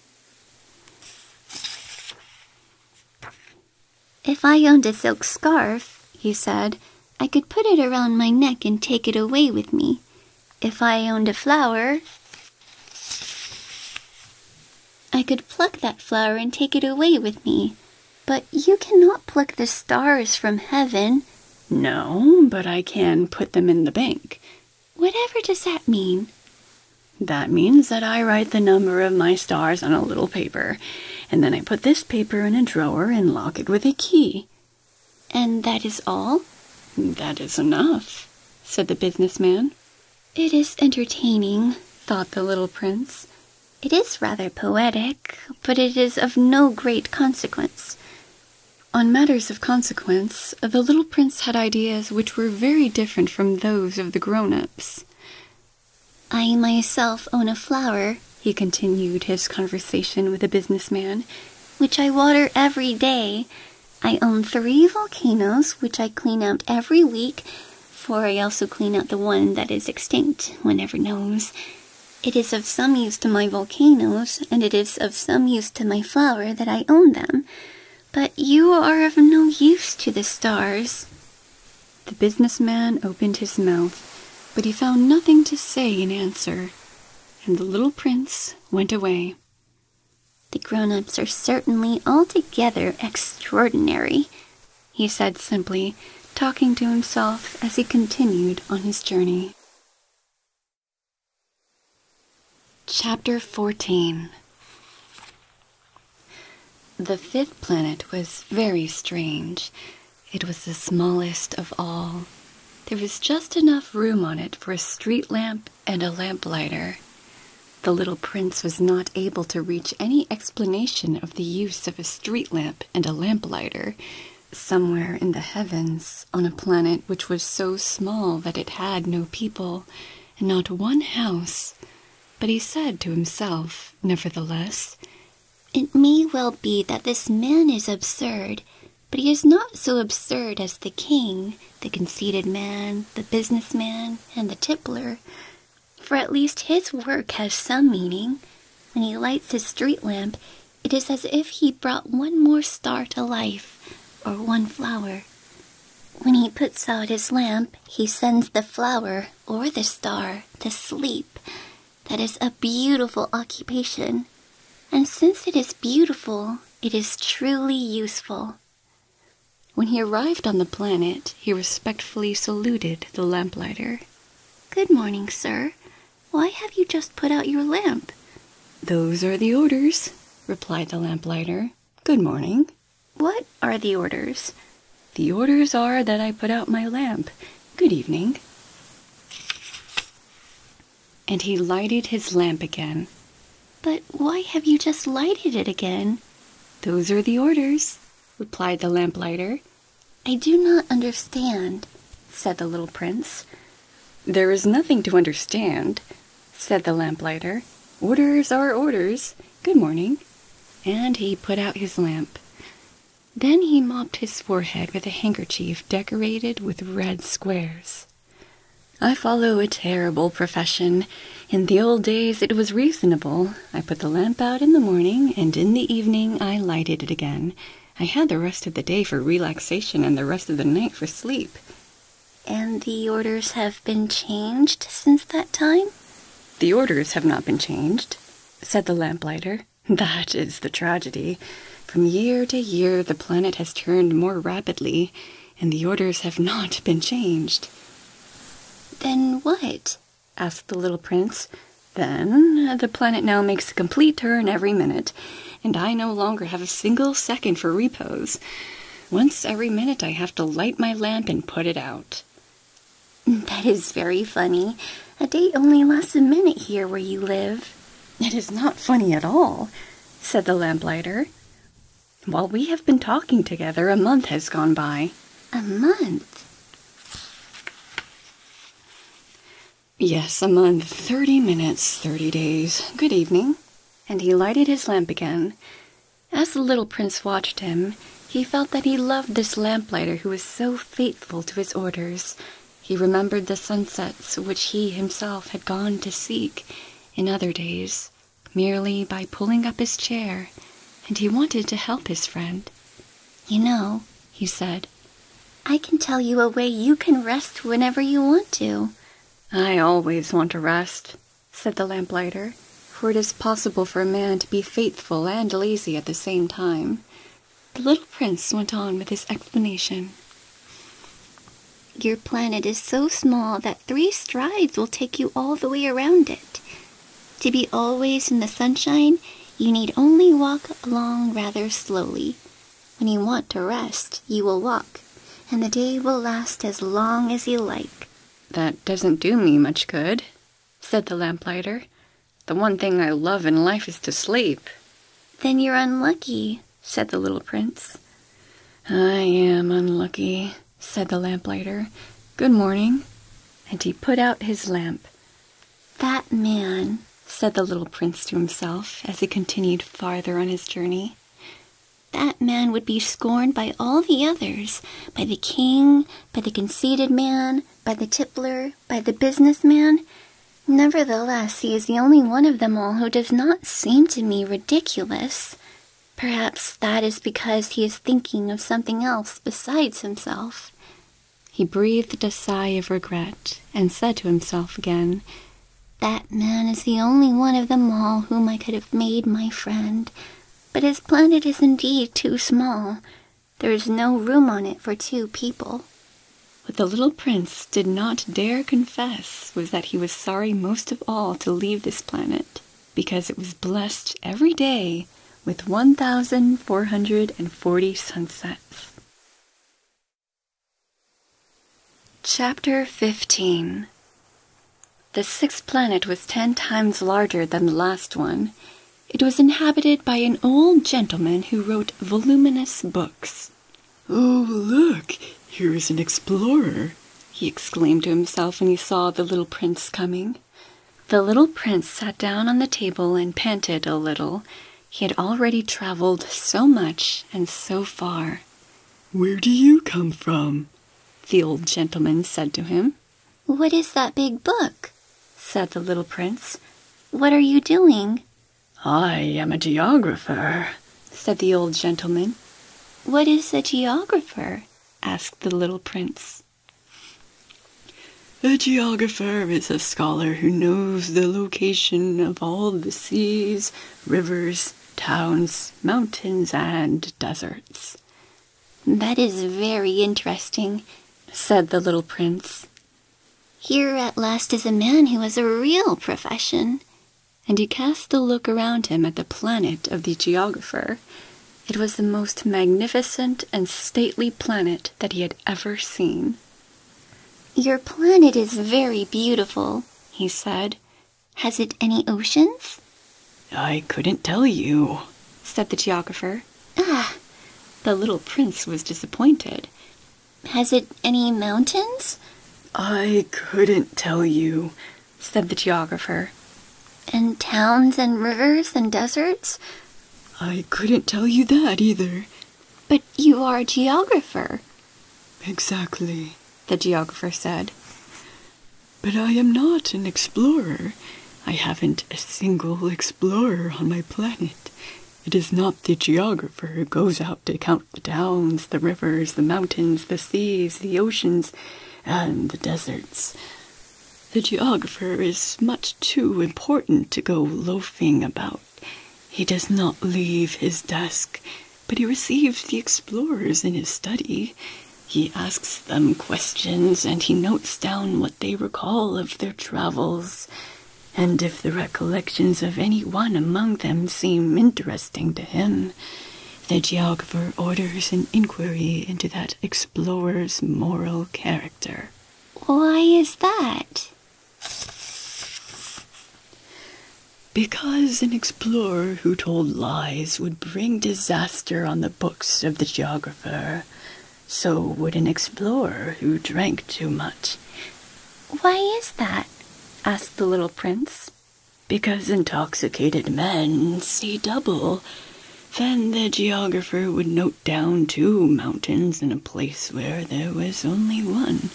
If I owned a silk scarf, he said, I could put it around my neck and take it away with me. If I owned a flower, I could pluck that flower and take it away with me. But you cannot pluck the stars from heaven. No, but I can put them in the bank. Whatever does that mean? That means that I write the number of my stars on a little paper and then I put this paper in a drawer and lock it with a key. And that is all? That is enough, said the businessman. It is entertaining, thought the little prince. It is rather poetic, but it is of no great consequence. On matters of consequence, the little prince had ideas which were very different from those of the grown-ups. I myself own a flower, he continued his conversation with a businessman, which I water every day. I own three volcanoes, which I clean out every week, for I also clean out the one that is extinct, one never knows. It is of some use to my volcanoes, and it is of some use to my flower that I own them. But you are of no use to the stars. The businessman opened his mouth, but he found nothing to say in answer, and the little prince went away. The grown-ups are certainly altogether extraordinary, he said simply, talking to himself as he continued on his journey. Chapter 14 the fifth planet was very strange. It was the smallest of all. There was just enough room on it for a street lamp and a lamplighter. The little prince was not able to reach any explanation of the use of a street lamp and a lamplighter somewhere in the heavens on a planet which was so small that it had no people and not one house. But he said to himself, nevertheless, it may well be that this man is absurd, but he is not so absurd as the king, the conceited man, the businessman, and the tippler. For at least his work has some meaning. When he lights his street lamp, it is as if he brought one more star to life, or one flower. When he puts out his lamp, he sends the flower or the star to sleep, that is a beautiful occupation, and since it is beautiful, it is truly useful. When he arrived on the planet, he respectfully saluted the lamplighter. Good morning, sir. Why have you just put out your lamp? Those are the orders, replied the lamplighter. Good morning. What are the orders? The orders are that I put out my lamp. Good evening. And he lighted his lamp again. But why have you just lighted it again? Those are the orders, replied the lamplighter. I do not understand, said the little prince. There is nothing to understand, said the lamplighter. Orders are orders. Good morning. And he put out his lamp. Then he mopped his forehead with a handkerchief decorated with red squares. I follow a terrible profession. In the old days it was reasonable. I put the lamp out in the morning, and in the evening I lighted it again. I had the rest of the day for relaxation and the rest of the night for sleep. And the orders have been changed since that time? The orders have not been changed, said the lamplighter. That is the tragedy. From year to year, the planet has turned more rapidly, and the orders have not been changed. Then what? asked the little prince. Then the planet now makes a complete turn every minute, and I no longer have a single second for repose. Once every minute I have to light my lamp and put it out. That is very funny. A day only lasts a minute here where you live. It is not funny at all, said the lamplighter. While we have been talking together, a month has gone by. A month? Yes, a month. Thirty minutes, thirty days. Good evening. And he lighted his lamp again. As the little prince watched him, he felt that he loved this lamplighter who was so faithful to his orders. He remembered the sunsets which he himself had gone to seek in other days, merely by pulling up his chair, and he wanted to help his friend. You know, he said, I can tell you a way you can rest whenever you want to. I always want to rest, said the lamplighter, for it is possible for a man to be faithful and lazy at the same time. The little prince went on with his explanation. Your planet is so small that three strides will take you all the way around it. To be always in the sunshine, you need only walk along rather slowly. When you want to rest, you will walk, and the day will last as long as you like. That doesn't do me much good, said the lamplighter. The one thing I love in life is to sleep. Then you're unlucky, said the little prince. I am unlucky, said the lamplighter. Good morning. And he put out his lamp. That man, said the little prince to himself as he continued farther on his journey. That man would be scorned by all the others, by the king, by the conceited man, by the tippler, by the businessman. Nevertheless, he is the only one of them all who does not seem to me ridiculous. Perhaps that is because he is thinking of something else besides himself. He breathed a sigh of regret and said to himself again, That man is the only one of them all whom I could have made my friend, but his planet is indeed too small. There is no room on it for two people. What the little prince did not dare confess was that he was sorry most of all to leave this planet, because it was blessed every day with 1,440 sunsets. Chapter 15 The sixth planet was ten times larger than the last one, it was inhabited by an old gentleman who wrote voluminous books. Oh, look, here is an explorer, he exclaimed to himself when he saw the little prince coming. The little prince sat down on the table and panted a little. He had already traveled so much and so far. Where do you come from? the old gentleman said to him. What is that big book? said the little prince. What are you doing? I am a geographer, said the old gentleman. What is a geographer? asked the little prince. A geographer is a scholar who knows the location of all the seas, rivers, towns, mountains, and deserts. That is very interesting, said the little prince. Here at last is a man who has a real profession. And he cast a look around him at the planet of the geographer. It was the most magnificent and stately planet that he had ever seen. Your planet is very beautiful, he said. Has it any oceans? I couldn't tell you, said the geographer. Ah! The little prince was disappointed. Has it any mountains? I couldn't tell you, said the geographer. And towns and rivers and deserts? I couldn't tell you that either. But you are a geographer. Exactly, the geographer said. But I am not an explorer. I haven't a single explorer on my planet. It is not the geographer who goes out to count the towns, the rivers, the mountains, the seas, the oceans, and the deserts. The geographer is much too important to go loafing about. He does not leave his desk, but he receives the explorers in his study. He asks them questions and he notes down what they recall of their travels, and if the recollections of any one among them seem interesting to him, the geographer orders an inquiry into that explorer's moral character. Why is that? Because an explorer who told lies would bring disaster on the books of the geographer, so would an explorer who drank too much. Why is that? asked the little prince. Because intoxicated men see double. Then the geographer would note down two mountains in a place where there was only one.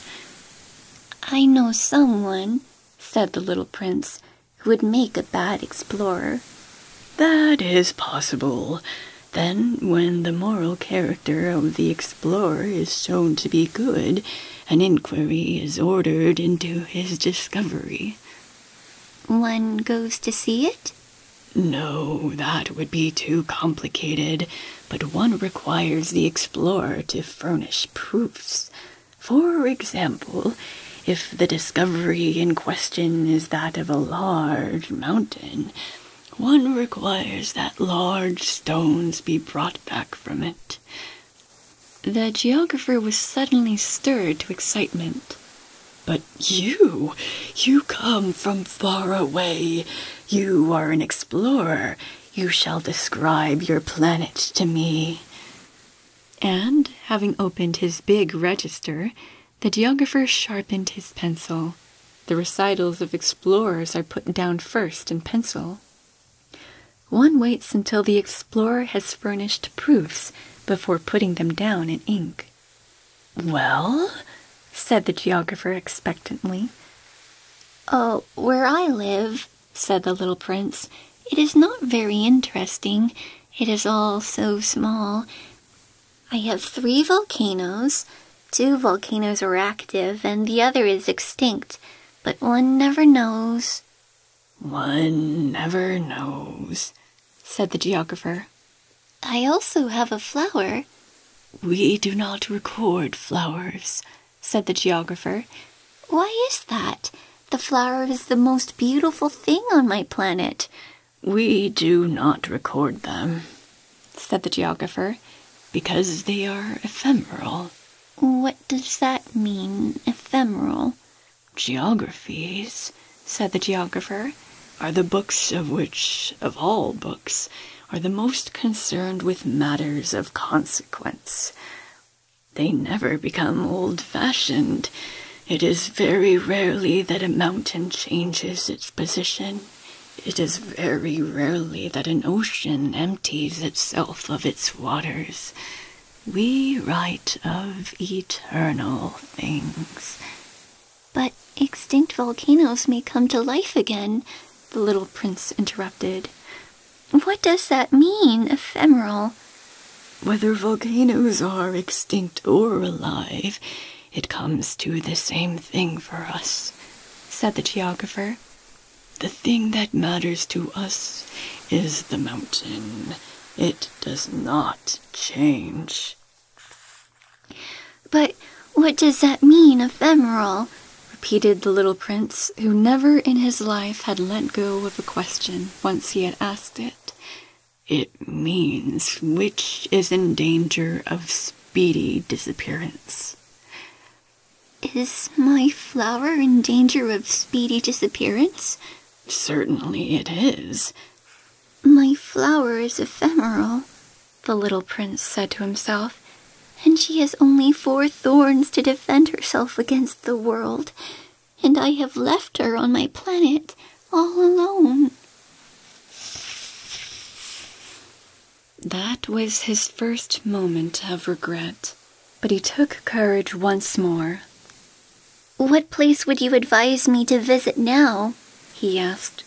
I know someone, said the little prince, who would make a bad explorer. That is possible. Then, when the moral character of the explorer is shown to be good, an inquiry is ordered into his discovery. One goes to see it? No, that would be too complicated, but one requires the explorer to furnish proofs. For example, if the discovery in question is that of a large mountain, one requires that large stones be brought back from it. The geographer was suddenly stirred to excitement. But you, you come from far away. You are an explorer. You shall describe your planet to me. And, having opened his big register, the geographer sharpened his pencil. The recitals of explorers are put down first in pencil. One waits until the explorer has furnished proofs before putting them down in ink. Well, said the geographer expectantly. Oh, where I live, said the little prince, it is not very interesting. It is all so small. I have three volcanoes. Two volcanoes are active, and the other is extinct, but one never knows. One never knows, said the geographer. I also have a flower. We do not record flowers, said the geographer. Why is that? The flower is the most beautiful thing on my planet. We do not record them, said the geographer, because they are ephemeral. What does that mean, ephemeral? Geographies, said the geographer, are the books of which, of all books, are the most concerned with matters of consequence. They never become old-fashioned. It is very rarely that a mountain changes its position. It is very rarely that an ocean empties itself of its waters. We write of eternal things. But extinct volcanoes may come to life again, the little prince interrupted. What does that mean, ephemeral? Whether volcanoes are extinct or alive it comes to the same thing for us, said the geographer. The thing that matters to us is the mountain. It does not change. But what does that mean, ephemeral? repeated the little prince, who never in his life had let go of a question once he had asked it. It means which is in danger of speedy disappearance. Is my flower in danger of speedy disappearance? Certainly it is. My flower is ephemeral, the little prince said to himself, and she has only four thorns to defend herself against the world, and I have left her on my planet all alone. That was his first moment of regret, but he took courage once more. What place would you advise me to visit now? he asked.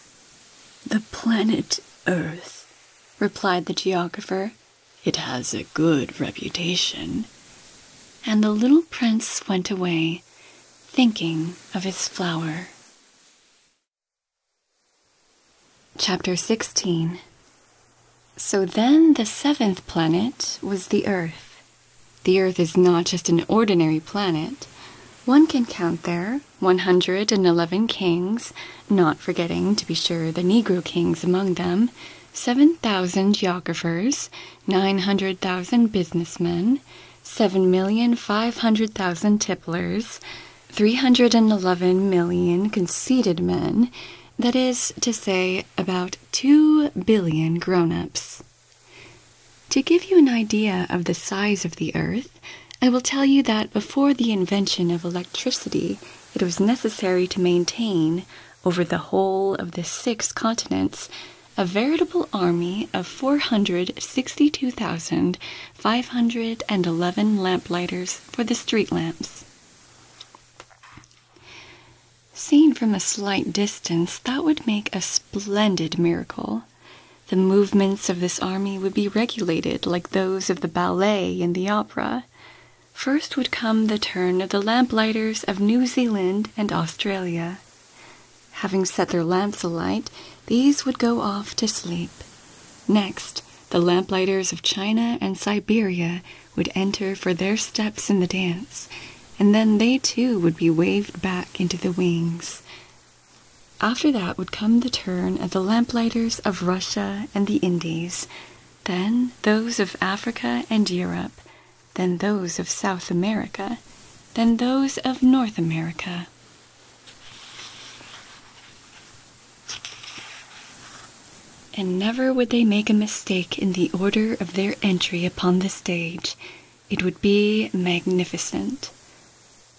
The planet Earth, replied the geographer. It has a good reputation. And the little prince went away, thinking of his flower. Chapter 16 So then the seventh planet was the Earth. The Earth is not just an ordinary planet. One can count there 111 kings, not forgetting, to be sure, the Negro kings among them, 7,000 geographers, 900,000 businessmen, 7,500,000 tipplers, 311 million conceited men, that is to say, about 2 billion grown ups. To give you an idea of the size of the Earth, I will tell you that before the invention of electricity, it was necessary to maintain, over the whole of the six continents, a veritable army of 462,000 511 lamplighters for the street lamps. Seen from a slight distance, that would make a splendid miracle. The movements of this army would be regulated like those of the ballet and the opera. First would come the turn of the lamplighters of New Zealand and Australia. Having set their lamps alight, these would go off to sleep. Next, the lamplighters of China and Siberia would enter for their steps in the dance, and then they too would be waved back into the wings. After that would come the turn of the lamplighters of Russia and the Indies, then those of Africa and Europe, then those of South America, then those of North America. And never would they make a mistake in the order of their entry upon the stage. It would be magnificent.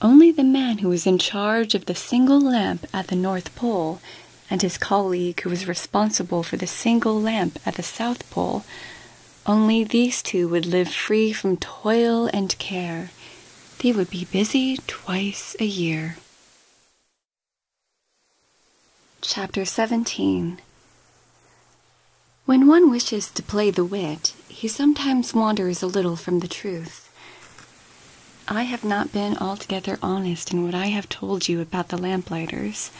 Only the man who was in charge of the single lamp at the North Pole and his colleague who was responsible for the single lamp at the South Pole, only these two would live free from toil and care. They would be busy twice a year. Chapter 17 When one wishes to play the wit, he sometimes wanders a little from the truth. I have not been altogether honest in what I have told you about the lamplighters,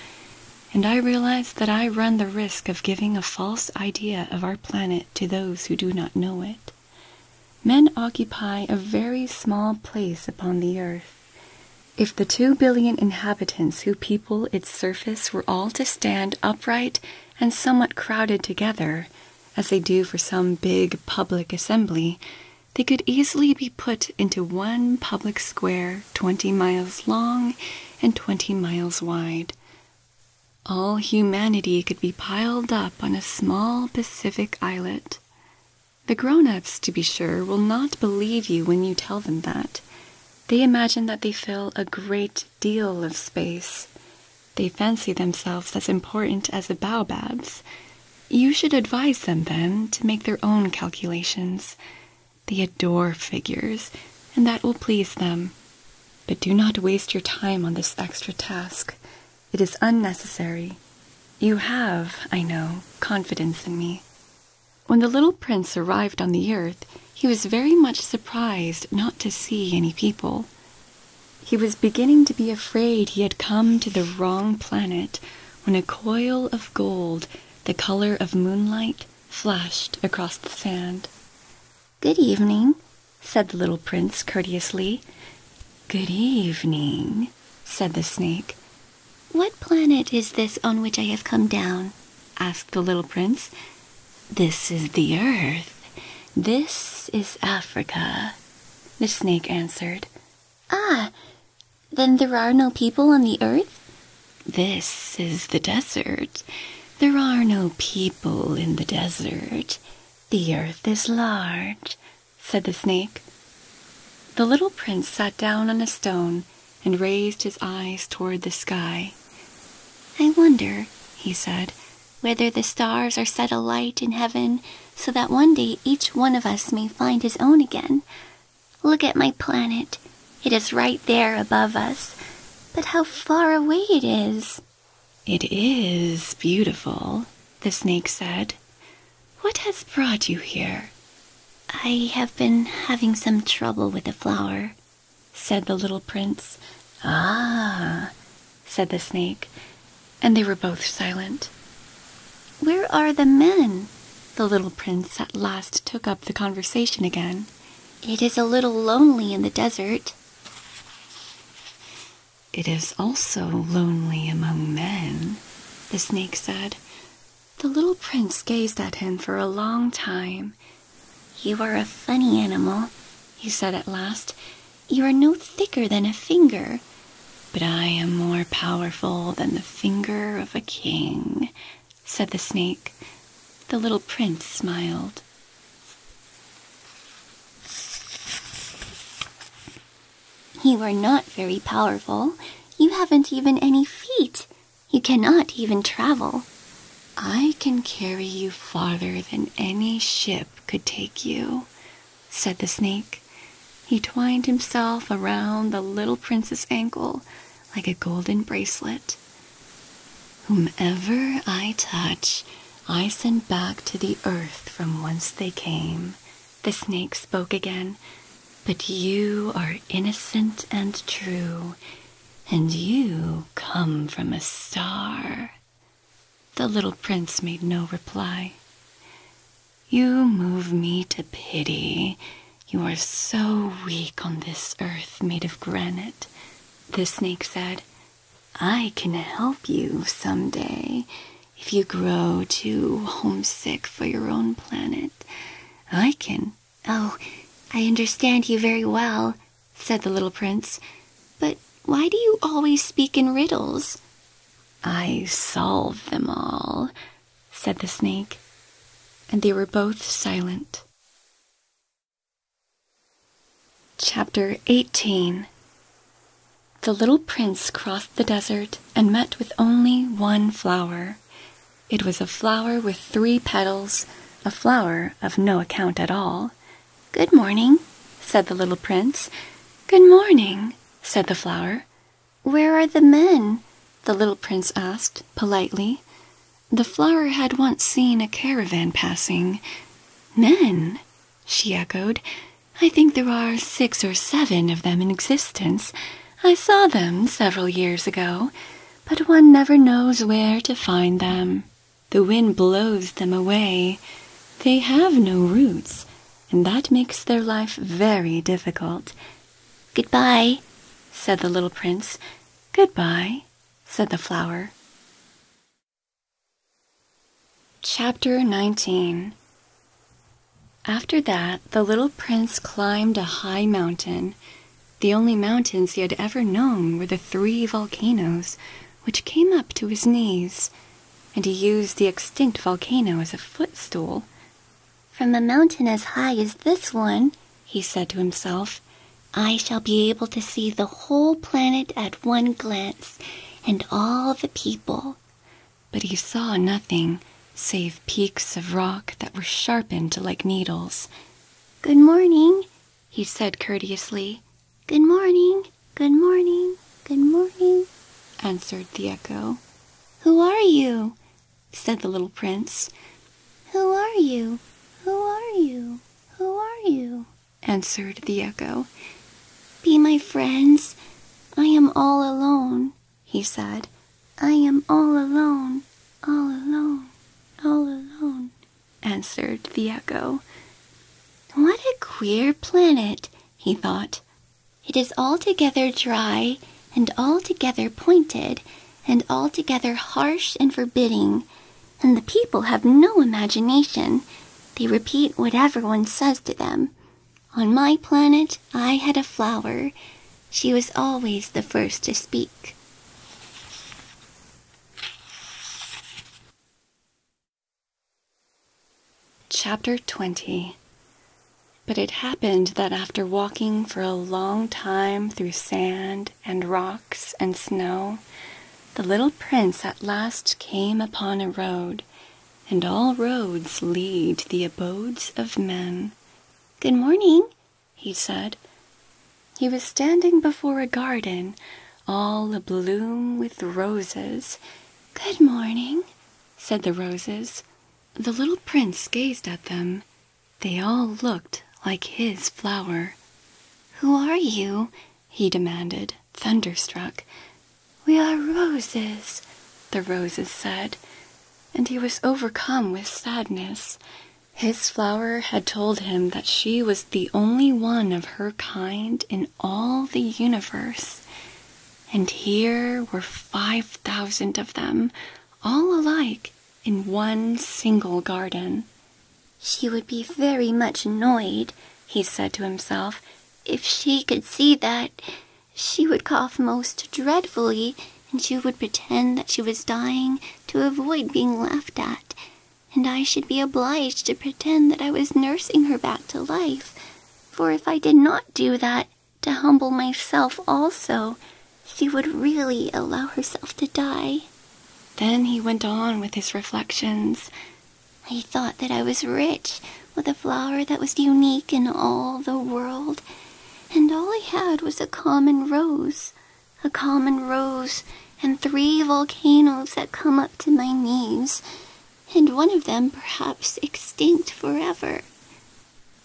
and I realize that I run the risk of giving a false idea of our planet to those who do not know it. Men occupy a very small place upon the earth. If the two billion inhabitants who people its surface were all to stand upright and somewhat crowded together, as they do for some big public assembly, they could easily be put into one public square twenty miles long and twenty miles wide. All humanity could be piled up on a small Pacific islet. The grown ups, to be sure, will not believe you when you tell them that. They imagine that they fill a great deal of space. They fancy themselves as important as the baobabs. You should advise them, then, to make their own calculations. They adore figures, and that will please them. But do not waste your time on this extra task. It is unnecessary. You have, I know, confidence in me. When the little prince arrived on the earth, he was very much surprised not to see any people. He was beginning to be afraid he had come to the wrong planet when a coil of gold, the color of moonlight, flashed across the sand. Good evening, said the little prince courteously. Good evening, said the snake. What planet is this on which I have come down? asked the little prince. This is the earth. This is Africa, the snake answered. Ah, then there are no people on the earth? This is the desert. There are no people in the desert. The earth is large said the snake. The little prince sat down on a stone and raised his eyes toward the sky. I wonder, he said, whether the stars are set alight in heaven so that one day each one of us may find his own again. Look at my planet. It is right there above us. But how far away it is! It is beautiful, the snake said. What has brought you here? I have been having some trouble with a flower, said the little prince. Ah, said the snake, and they were both silent. Where are the men? The little prince at last took up the conversation again. It is a little lonely in the desert. It is also lonely among men, the snake said. The little prince gazed at him for a long time. You are a funny animal, he said at last. You are no thicker than a finger. But I am more powerful than the finger of a king, said the snake. The little prince smiled. You are not very powerful. You haven't even any feet. You cannot even travel. I can carry you farther than any ship could take you, said the snake. He twined himself around the little prince's ankle like a golden bracelet. Whomsoever I touch, I send back to the earth from whence they came, the snake spoke again. But you are innocent and true, and you come from a star. The little prince made no reply. You move me to pity. You are so weak on this earth made of granite. The snake said, I can help you some day if you grow too homesick for your own planet, I can. Oh, I understand you very well, said the little prince. But why do you always speak in riddles? I solve them all, said the snake, and they were both silent. Chapter 18 the little prince crossed the desert and met with only one flower. It was a flower with three petals, a flower of no account at all. Good morning, said the little prince. Good morning, said the flower. Where are the men? the little prince asked politely. The flower had once seen a caravan passing. Men, she echoed. I think there are six or seven of them in existence. I saw them several years ago, but one never knows where to find them. The wind blows them away. They have no roots, and that makes their life very difficult. Goodbye, said the little prince. Goodbye, said the flower. Chapter 19 After that, the little prince climbed a high mountain. The only mountains he had ever known were the three volcanoes, which came up to his knees, and he used the extinct volcano as a footstool. From a mountain as high as this one, he said to himself, I shall be able to see the whole planet at one glance, and all the people but he saw nothing save peaks of rock that were sharpened like needles. Good morning, he said courteously. Good morning, good morning, good morning, answered the echo. Who are you? said the little prince. Who are you? Who are you? Who are you? answered the echo. Be my friends, I am all alone, he said. I am all alone, all alone, all alone, answered the echo. What a queer planet, he thought. It is altogether dry, and altogether pointed, and altogether harsh and forbidding, and the people have no imagination. They repeat what everyone says to them. On my planet, I had a flower. She was always the first to speak. Chapter 20 But it happened that after walking for a long time through sand and rocks and snow, the little prince at last came upon a road and all roads lead to the abodes of men. Good morning, he said. He was standing before a garden, all abloom with roses. Good morning, said the roses. The little prince gazed at them. They all looked like his flower. Who are you? he demanded, thunderstruck. We are roses, the roses said, and he was overcome with sadness. His flower had told him that she was the only one of her kind in all the universe. And here were five thousand of them, all alike, in one single garden. She would be very much annoyed, he said to himself, if she could see that. She would cough most dreadfully, and she would pretend that she was dying to avoid being laughed at, and I should be obliged to pretend that I was nursing her back to life, for if I did not do that, to humble myself also, she would really allow herself to die. Then he went on with his reflections. I thought that I was rich, with a flower that was unique in all the world, and all I had was a common rose, a common rose, and three volcanoes that come up to my knees, and one of them perhaps extinct forever.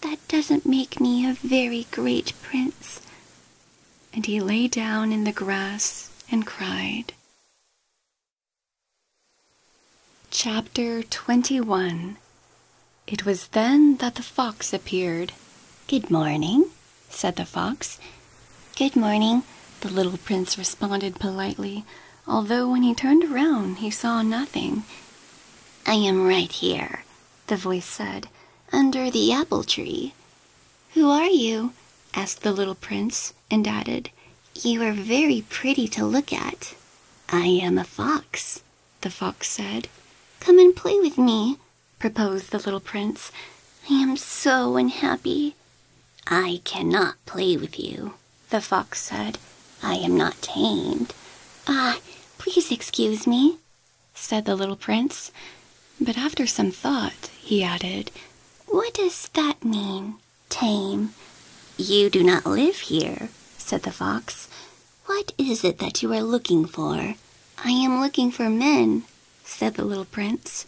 That doesn't make me a very great prince. And he lay down in the grass and cried. Chapter 21 It was then that the fox appeared. Good morning, said the fox. Good morning, the little prince responded politely, although when he turned around he saw nothing. I am right here, the voice said, under the apple tree. Who are you? asked the little prince, and added, you are very pretty to look at. I am a fox, the fox said. Come and play with me, proposed the little prince. I am so unhappy. I cannot play with you, the fox said. I am not tamed. Ah, please excuse me, said the little prince. But after some thought, he added, What does that mean? tame. You do not live here, said the fox. What is it that you are looking for? I am looking for men, said the little prince.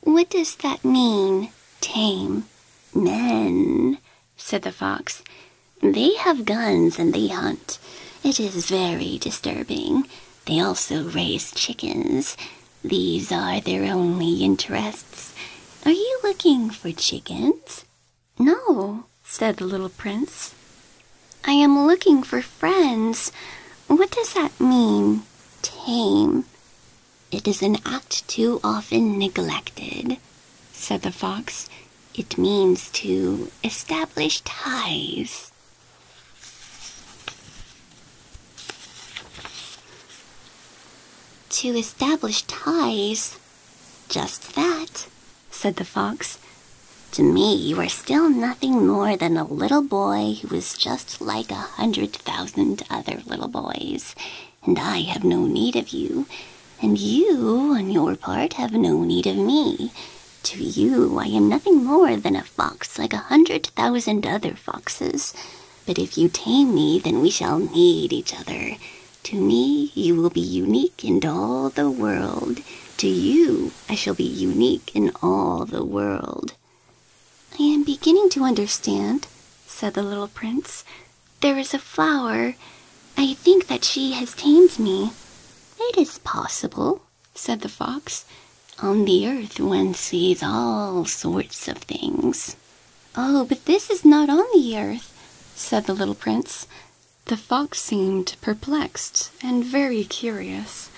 What does that mean, tame? Men, said the fox. They have guns and they hunt. It is very disturbing. They also raise chickens. These are their only interests. Are you looking for chickens? No, said the little prince. I am looking for friends. What does that mean, tame? It is an act too often neglected, said the fox. It means to establish ties. To establish ties? Just that, said the fox. To me, you are still nothing more than a little boy who is just like a hundred thousand other little boys, and I have no need of you, and you, on your part, have no need of me. To you, I am nothing more than a fox like a hundred thousand other foxes. But if you tame me, then we shall need each other, to me, you will be unique in all the world. To you, I shall be unique in all the world. I am beginning to understand, said the little prince. There is a flower. I think that she has tamed me. It is possible, said the fox. On the earth one sees all sorts of things. Oh, but this is not on the earth, said the little prince. The fox seemed perplexed and very curious.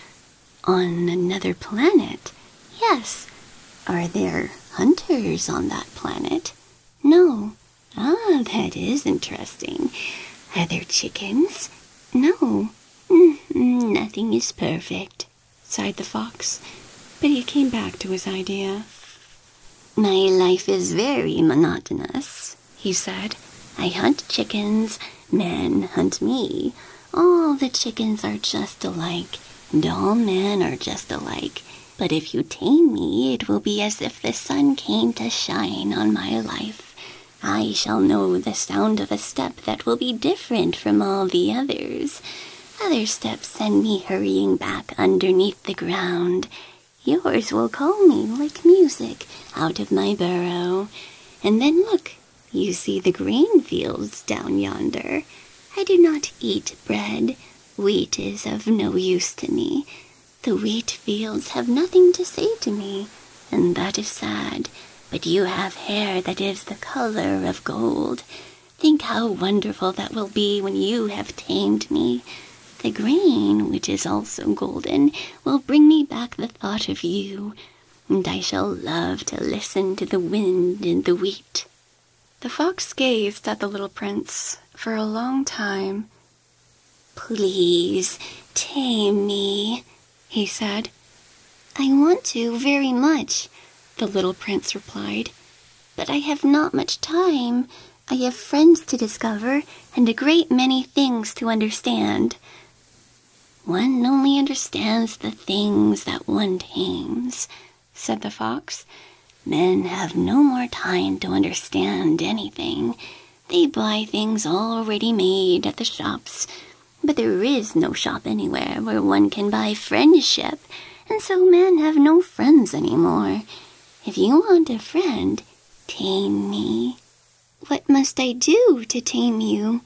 On another planet? Yes. Are there hunters on that planet? No. Ah, that is interesting. Are there chickens? No. Mm-hmm, nothing is perfect, sighed the fox, but he came back to his idea. My life is very monotonous, he said. I hunt chickens, men hunt me. All the chickens are just alike, and all men are just alike. But if you tame me, it will be as if the sun came to shine on my life. I shall know the sound of a step that will be different from all the others. Other steps send me hurrying back underneath the ground, Yours will call me like music out of my burrow. And then look, you see the green fields down yonder. I do not eat bread. Wheat is of no use to me. The wheat fields have nothing to say to me, and that is sad. But you have hair that is the color of gold. Think how wonderful that will be when you have tamed me. The grain, which is also golden, will bring me back the thought of you, and I shall love to listen to the wind in the wheat. The fox gazed at the little prince for a long time. Please tame me, he said. I want to very much, the little prince replied, but I have not much time. I have friends to discover and a great many things to understand. One only understands the things that one tames, said the fox. Men have no more time to understand anything. They buy things already made at the shops. But there is no shop anywhere where one can buy friendship, and so men have no friends any more. If you want a friend, Tame me. What must I do to tame you?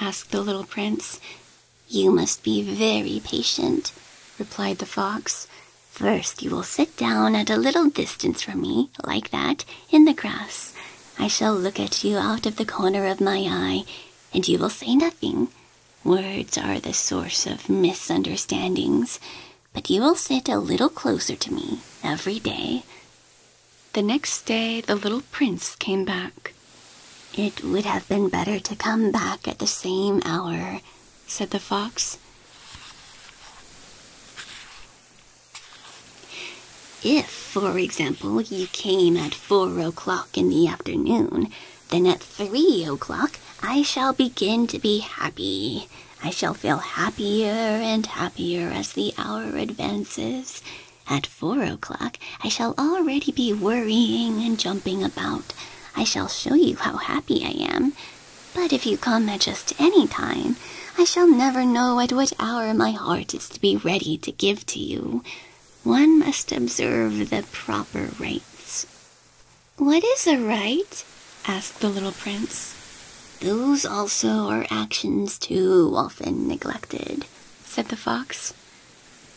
asked the little prince. You must be very patient, replied the fox. First, you will sit down at a little distance from me, like that, in the grass. I shall look at you out of the corner of my eye, and you will say nothing. Words are the source of misunderstandings but you will sit a little closer to me every day. The next day, the little prince came back. It would have been better to come back at the same hour, said the fox. If, for example, you came at four o'clock in the afternoon, then at three o'clock I shall begin to be happy. I shall feel happier and happier as the hour advances. At four o'clock, I shall already be worrying and jumping about. I shall show you how happy I am. But if you come at just any time, I shall never know at what hour my heart is to be ready to give to you. One must observe the proper rites. What is a right? asked the little prince. Those also are actions too often neglected, said the fox.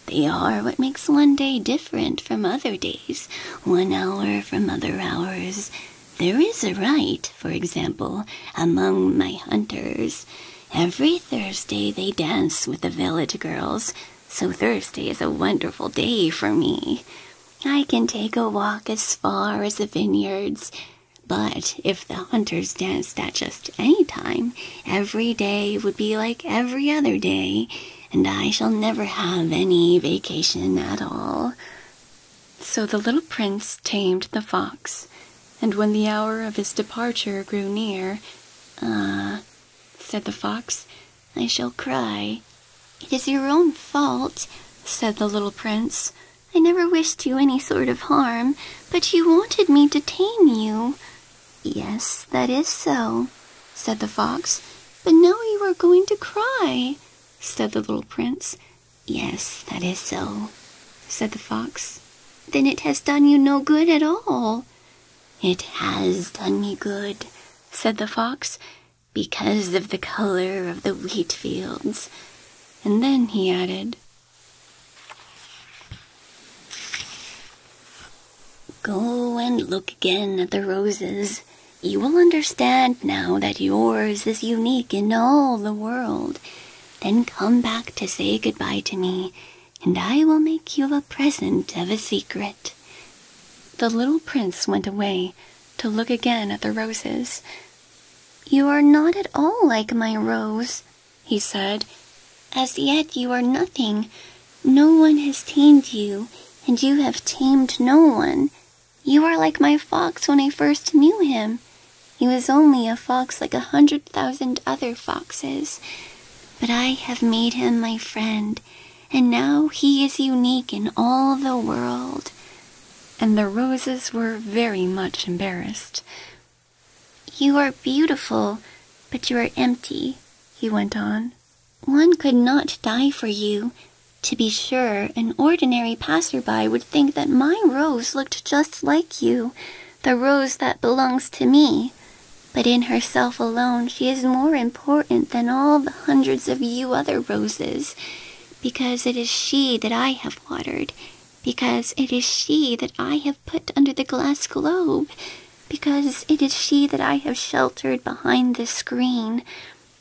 They are what makes one day different from other days, one hour from other hours. There is a right, for example, among my hunters. Every Thursday they dance with the village girls, so Thursday is a wonderful day for me. I can take a walk as far as the vineyards, but if the hunters danced at just any time, every day would be like every other day, and I shall never have any vacation at all. So the little prince tamed the fox, and when the hour of his departure grew near, Ah, said the fox, I shall cry, it is your own fault, said the little prince. I never wished you any sort of harm, but you wanted me to tame you. Yes, that is so, said the fox. But now you are going to cry, said the little prince. Yes, that is so, said the fox. Then it has done you no good at all. It has done me good, said the fox because of the color of the wheat fields. And then he added, Go and look again at the roses. You will understand now that yours is unique in all the world. Then come back to say goodbye to me, and I will make you a present of a secret. The little prince went away, to look again at the roses. You are not at all like my rose, he said. As yet you are nothing. No one has tamed you, and you have tamed no one. You are like my fox when I first knew him. He was only a fox like a hundred thousand other foxes. But I have made him my friend, and now he is unique in all the world and the roses were very much embarrassed. You are beautiful, but you are empty, he went on. One could not die for you. To be sure, an ordinary passer-by would think that my rose looked just like you, the rose that belongs to me. But in herself alone she is more important than all the hundreds of you other roses because it is she that I have watered, because it is she that I have put under the glass globe, because it is she that I have sheltered behind this screen,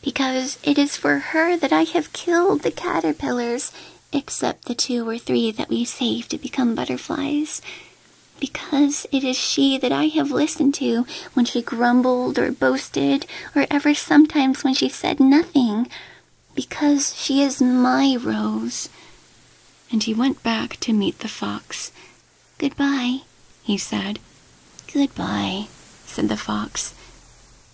because it is for her that I have killed the caterpillars, except the two or three that we saved to become butterflies. Because it is she that I have listened to when she grumbled or boasted or ever sometimes when she said nothing, because she is my Rose. And he went back to meet the fox. Goodbye, he said. Goodbye, said the fox.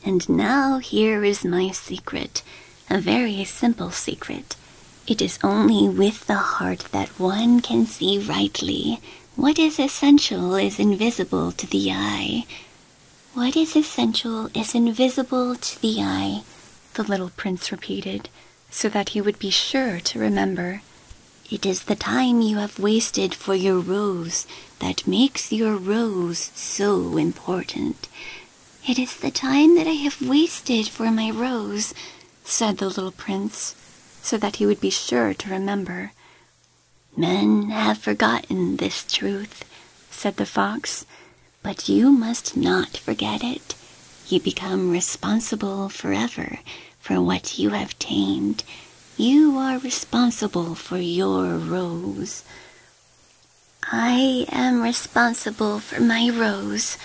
And now here is my secret, a very simple secret. It is only with the heart that one can see rightly. What is essential is invisible to the eye, what is essential is invisible to the eye, the little prince repeated, so that he would be sure to remember. It is the time you have wasted for your rose that makes your rose so important. It is the time that I have wasted for my rose, said the little prince, so that he would be sure to remember. Men have forgotten this truth, said the fox, but you must not forget it. You become responsible forever for what you have tamed. You are responsible for your rose. I am responsible for my rose,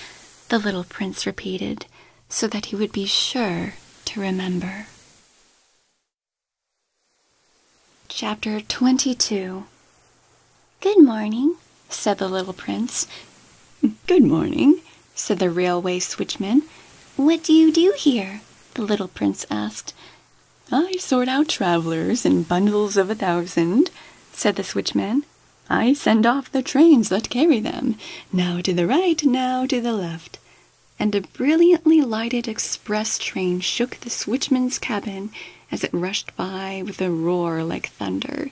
the little prince repeated, so that he would be sure to remember. Chapter 22 Good morning, said the little prince. Good morning, said the railway switchman. What do you do here? the little prince asked. I sort out travelers and bundles of a thousand, said the switchman. I send off the trains that carry them, now to the right, now to the left and a brilliantly lighted express train shook the switchman's cabin as it rushed by with a roar like thunder.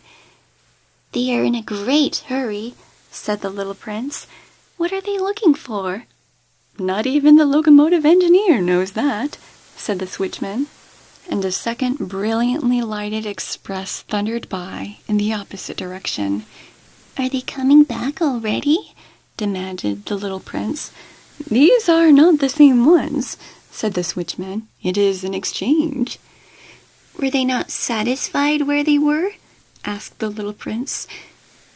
They are in a great hurry, said the little prince. What are they looking for? Not even the locomotive engineer knows that, said the switchman. And a second brilliantly lighted express thundered by in the opposite direction. Are they coming back already? demanded the little prince. These are not the same ones, said the switchman. It is an exchange. Were they not satisfied where they were? asked the little prince.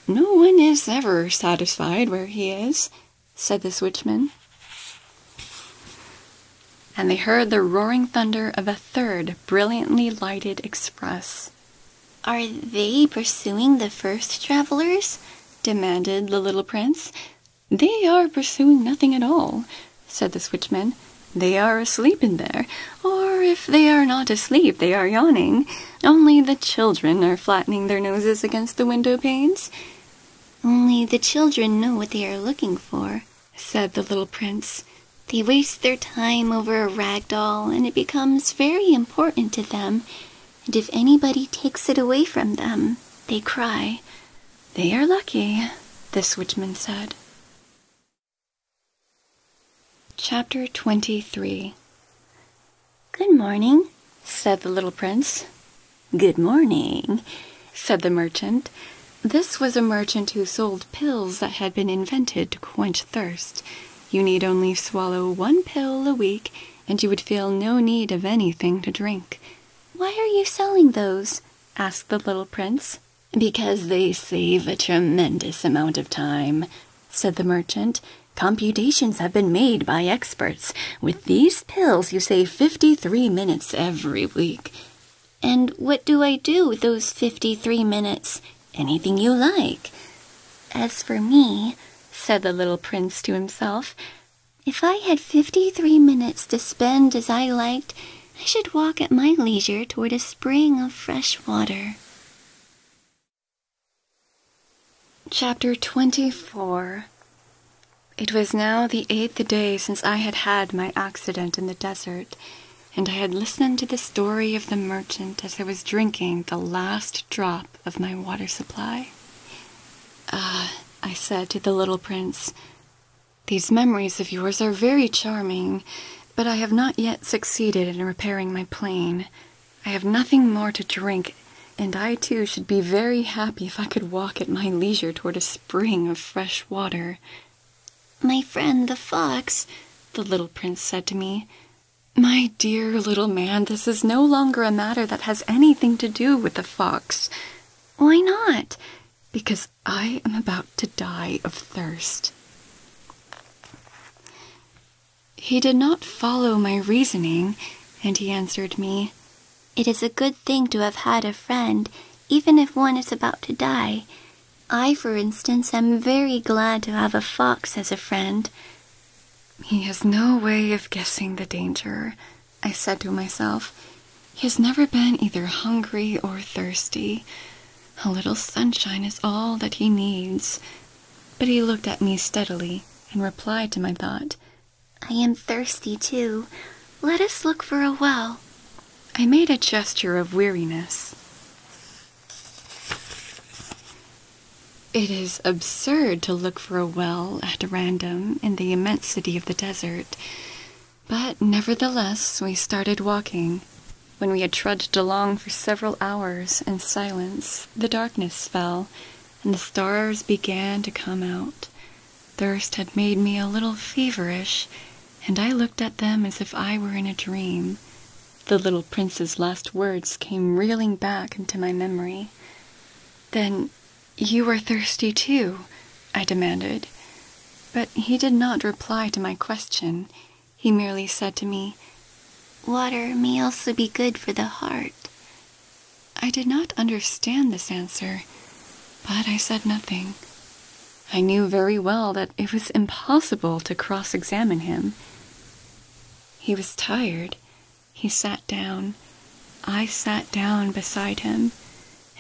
No one is ever satisfied where he is, said the switchman. And they heard the roaring thunder of a third brilliantly lighted express. Are they pursuing the first travelers? demanded the little prince. They are pursuing nothing at all, said the switchman. They are asleep in there, or if they are not asleep, they are yawning. Only the children are flattening their noses against the window panes. Only the children know what they are looking for, said the little prince. They waste their time over a rag doll, and it becomes very important to them and if anybody takes it away from them, they cry. They are lucky, the switchman said. Chapter 23 Good morning, said the little prince. Good morning, said the merchant. This was a merchant who sold pills that had been invented to quench thirst. You need only swallow one pill a week, and you would feel no need of anything to drink. Why are you selling those? asked the little prince. Because they save a tremendous amount of time, said the merchant. Computations have been made by experts. With these pills, you save 53 minutes every week. And what do I do with those 53 minutes? Anything you like. As for me, said the little prince to himself, if I had fifty three minutes to spend as I liked, I should walk at my leisure toward a spring of fresh water. Chapter twenty four. It was now the eighth day since I had had my accident in the desert, and I had listened to the story of the merchant as I was drinking the last drop of my water supply. Ah, I said to the little prince, these memories of yours are very charming, but I have not yet succeeded in repairing my plane. I have nothing more to drink, and I too should be very happy if I could walk at my leisure toward a spring of fresh water. My friend the fox, the little prince said to me, my dear little man, this is no longer a matter that has." anything to do with the fox. Why not? Because I am about to die of thirst. He did not follow my reasoning, and he answered me, It is a good thing to have had a friend, even if one is about to die. I, for instance, am very glad to have a fox as a friend. He has no way of guessing the danger, I said to myself. He has never been either hungry or thirsty. A little sunshine is all that he needs. But he looked at me steadily and replied to my thought. I am thirsty too. Let us look for a well. I made a gesture of weariness. It is absurd to look for a well at random in the immensity of the desert, but nevertheless we started walking. When we had trudged along for several hours in silence, the darkness fell, and the stars began to come out. Thirst had made me a little feverish, and I looked at them as if I were in a dream. The little prince's last words came reeling back into my memory. Then you are thirsty too, I demanded. But he did not reply to my question. He merely said to me, Water may also be good for the heart. I did not understand this answer, but I said nothing. I knew very well that it was impossible to cross examine him. He was tired, he sat down. I sat down beside him,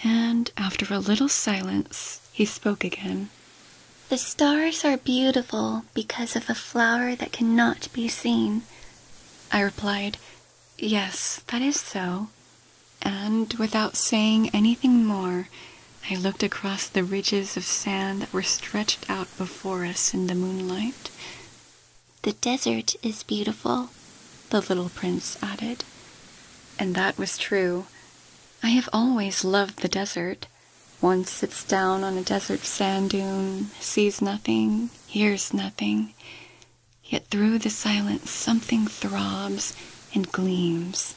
and after a little silence, he spoke again. The stars are beautiful because of a flower that cannot be seen. I replied, Yes, that is so. And without saying anything more, I looked across the ridges of sand that were stretched out before us in the moonlight. The desert is beautiful, the little prince added. And that was true. I have always loved the desert. One sits down on a desert sand dune, sees nothing, hears nothing. Yet through the silence something throbs and gleams.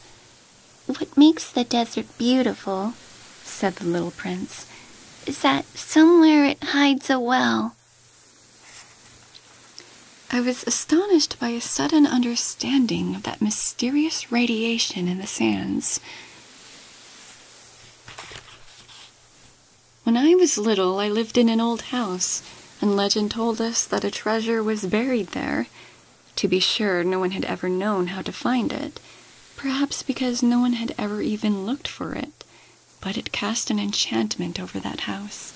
What makes the desert beautiful, said the little prince, is that somewhere it hides a well, I was astonished by a sudden understanding of that mysterious radiation in the sands. When I was little, I lived in an old house, and legend told us that a treasure was buried there. To be sure, no one had ever known how to find it, perhaps because no one had ever even looked for it but it cast an enchantment over that house.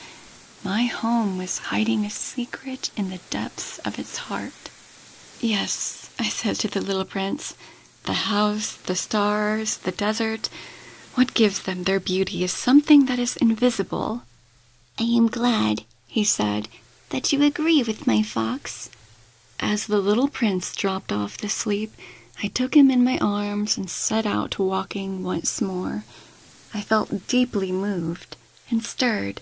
My home was hiding a secret in the depths of its heart. Yes, I said to the little prince, the house, the stars, the desert, what gives them their beauty is something that is invisible. I am glad, he said, that you agree with my fox. As the little prince dropped off to sleep, I took him in my arms and set out to walking once more. I felt deeply moved and stirred.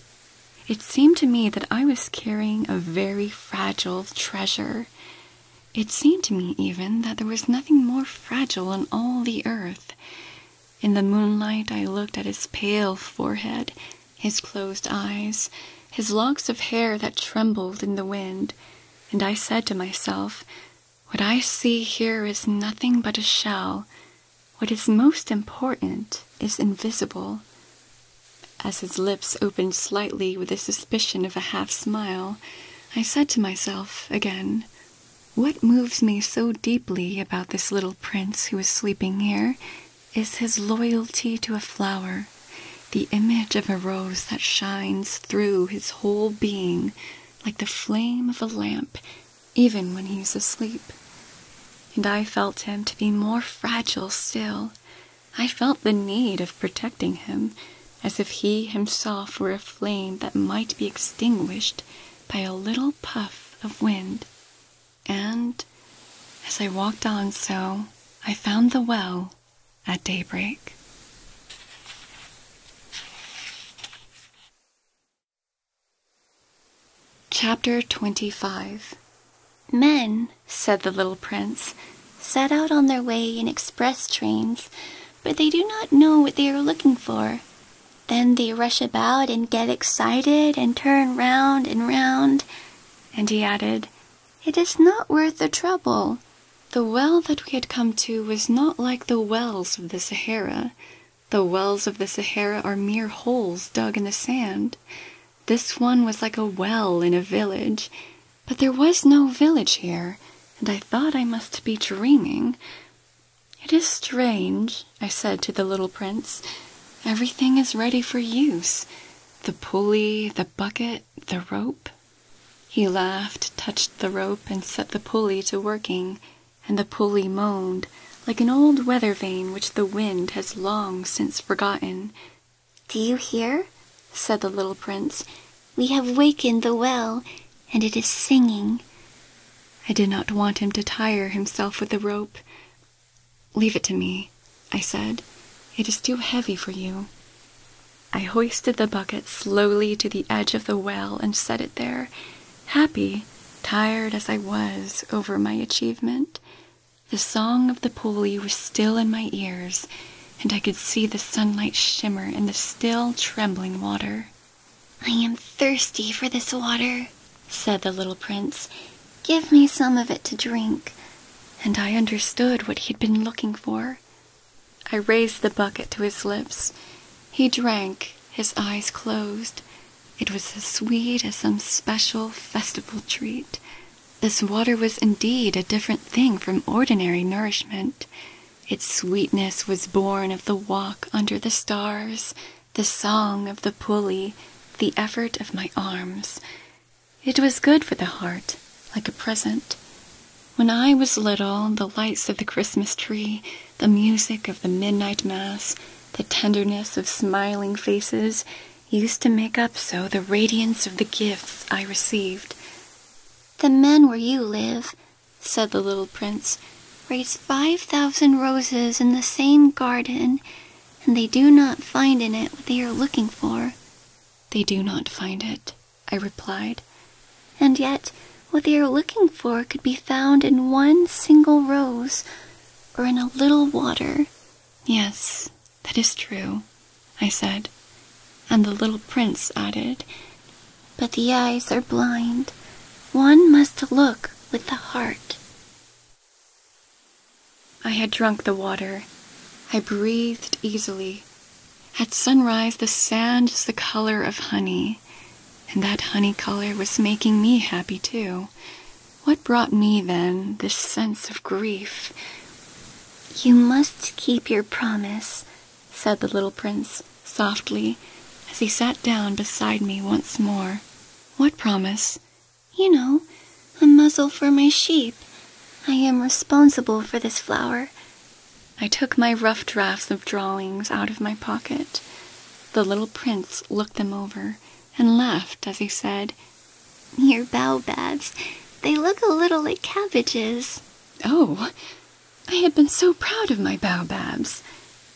It seemed to me that I was carrying a very fragile treasure. It seemed to me, even, that there was nothing more fragile on all the earth. In the moonlight, I looked at his pale forehead, his closed eyes, his locks of hair that trembled in the wind, and I said to myself, what I see here is nothing but a shell. What is most important is invisible. As his lips opened slightly with a suspicion of a half smile, I said to myself again, What moves me so deeply about this little prince who is sleeping here is his loyalty to a flower, the image of a rose that shines through his whole being like the flame of a lamp, even when he was asleep. And I felt him to be more fragile still. I felt the need of protecting him, as if he himself were a flame that might be extinguished by a little puff of wind. And as I walked on so, I found the well at daybreak. Chapter 25 Men, said the little prince, set out on their way in express trains, but they do not know what they are looking for. Then they rush about and get excited and turn round and round. And he added, It is not worth the trouble. The well that we had come to was not like the wells of the Sahara. The wells of the Sahara are mere holes dug in the sand. This one was like a well in a village. But there was no village here, and I thought I must be dreaming. It is strange, I said to the little prince. Everything is ready for use. The pulley, the bucket, the rope, he laughed, touched the rope, and set the pulley to working, and the pulley moaned, like an old weather vane which the wind has long since forgotten. "Do you hear?" said the little prince. "We have wakened the well, and it is singing." I did not want him to tire himself with the rope. "Leave it to me," I said. "It is too heavy for you." I hoisted the bucket slowly to the edge of the well and set it there, happy, tired as I was over my achievement. The song of the pulley was still in my ears, and I could see the sunlight shimmer in the still trembling water. I am thirsty for this water, said the little prince. Give me some of it to drink. And I understood what he had been looking for I raised the bucket to his lips. He drank, his eyes closed. It was as sweet as some special festival treat. This water was indeed a different thing from ordinary nourishment. Its sweetness was born of the walk under the stars, the song of the pulley, the effort of my arms. It was good for the heart, like a present. When I was little, the lights of the Christmas tree, the music of the midnight mass, the tenderness of smiling faces used to make up so the radiance of the gifts I received. The men where you live, said the little prince, raise five thousand roses in the same garden, and they do not find in it what they are looking for. They do not find it, I replied. And yet, what they are looking for could be found in one single rose or in a little water. Yes, that is true, I said. And the little prince added, But the eyes are blind. One must look with the heart. I had drunk the water. I breathed easily, at sunrise, the sand is the color of honey, and that honey color was making me happy too. What brought me then this sense of grief? You must keep your promise, said the little prince softly as he sat down beside me once more. What promise? You know, a muzzle for my sheep. I am responsible for this flower. I took my rough drafts of drawings out of my pocket. The little prince looked them over and laughed as he said, Your baobabs, they look a little like cabbages. Oh, I had been so proud of my baobabs.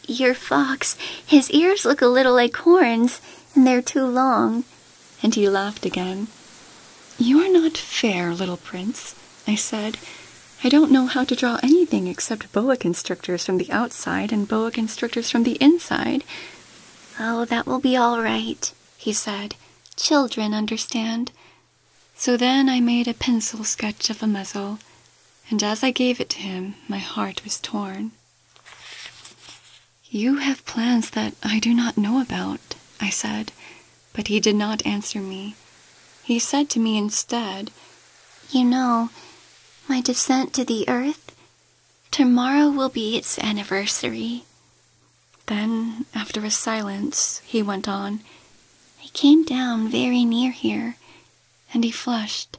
Your fox, his ears look a little like horns, and they're too long. And he laughed again. You're not fair, little prince, I said, I don't know how to draw anything except boa constrictors from the outside and boa constrictors from the inside. Oh, that will be all right, he said. Children understand. So then I made a pencil sketch of a muzzle, and as I gave it to him, my heart was torn. You have plans that I do not know about, I said, but he did not answer me. He said to me instead, you know, my descent to the earth, tomorrow will be its anniversary. Then, after a silence, he went on, I came down very near here, and he flushed.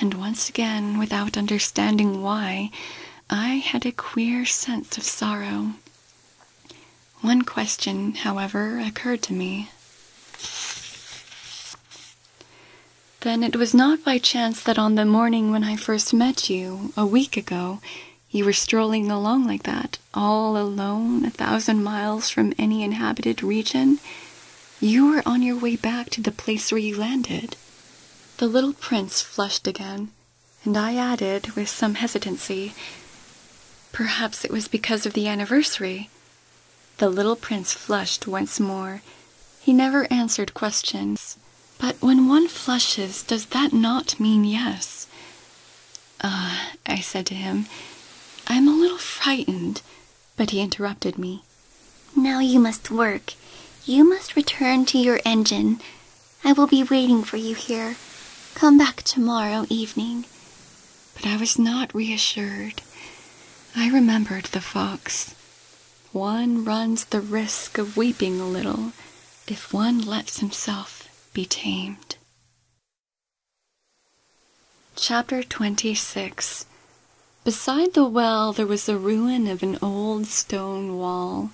And once again, without understanding why, I had a queer sense of sorrow. One question, however, occurred to me. Then it was not by chance that on the morning when I first met you, a week ago, you were strolling along like that, all alone, a thousand miles from any inhabited region. You were on your way back to the place where you landed. The little prince flushed again, and I added, with some hesitancy, Perhaps it was because of the anniversary. The little prince flushed once more. He never answered questions. But when one flushes, does that not mean yes? Uh, I said to him, I'm a little frightened, but he interrupted me. Now you must work. You must return to your engine. I will be waiting for you here. Come back tomorrow evening but I was not reassured. I remembered the fox. One runs the risk of weeping a little if one lets himself be tamed. Chapter 26 Beside the well there was the ruin of an old stone wall.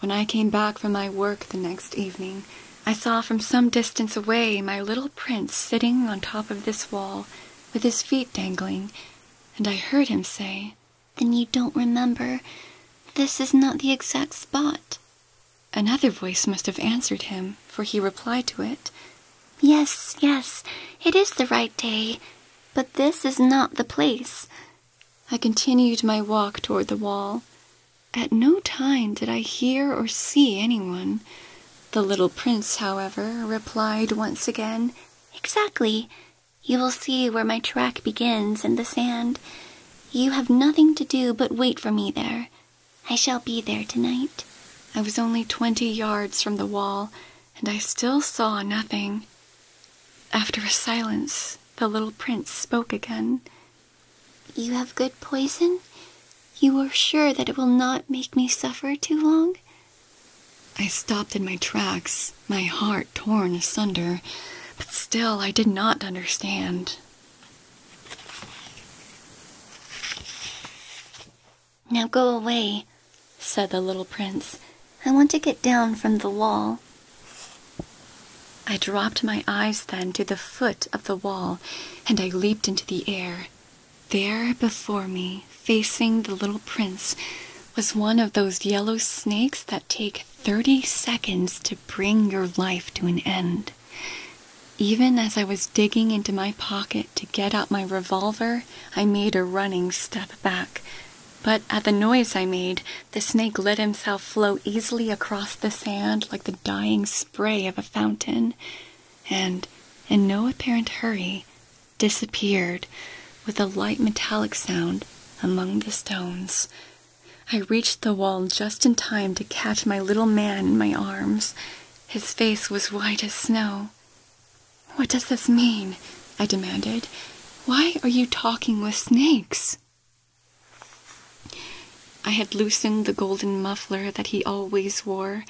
When I came back from my work the next evening, I saw from some distance away my little prince sitting on top of this wall with his feet dangling, and I heard him say, Then you don't remember. This is not the exact spot. Another voice must have answered him, for he replied to it, Yes, yes, it is the right day, but this is not the place. I continued my walk toward the wall. At no time did I hear or see anyone. The little prince, however, replied once again, Exactly. You will see where my track begins in the sand. You have nothing to do but wait for me there. I shall be there tonight. I was only twenty yards from the wall, and I still saw nothing. After a silence, the little prince spoke again. You have good poison? You are sure that it will not make me suffer too long? I stopped in my tracks, my heart torn asunder, but still I did not understand. Now go away, said the little prince. I want to get down from the wall. I dropped my eyes then to the foot of the wall, and I leaped into the air. There before me, facing the little prince, was one of those yellow snakes that take 30 seconds to bring your life to an end. Even as I was digging into my pocket to get out my revolver, I made a running step back. But at the noise I made, the snake let himself flow easily across the sand like the dying spray of a fountain and, in no apparent hurry, disappeared with a light metallic sound among the stones. I reached the wall just in time to catch my little man in my arms. His face was white as snow. What does this mean? I demanded. Why are you talking with snakes? I had loosened the golden muffler that he always wore,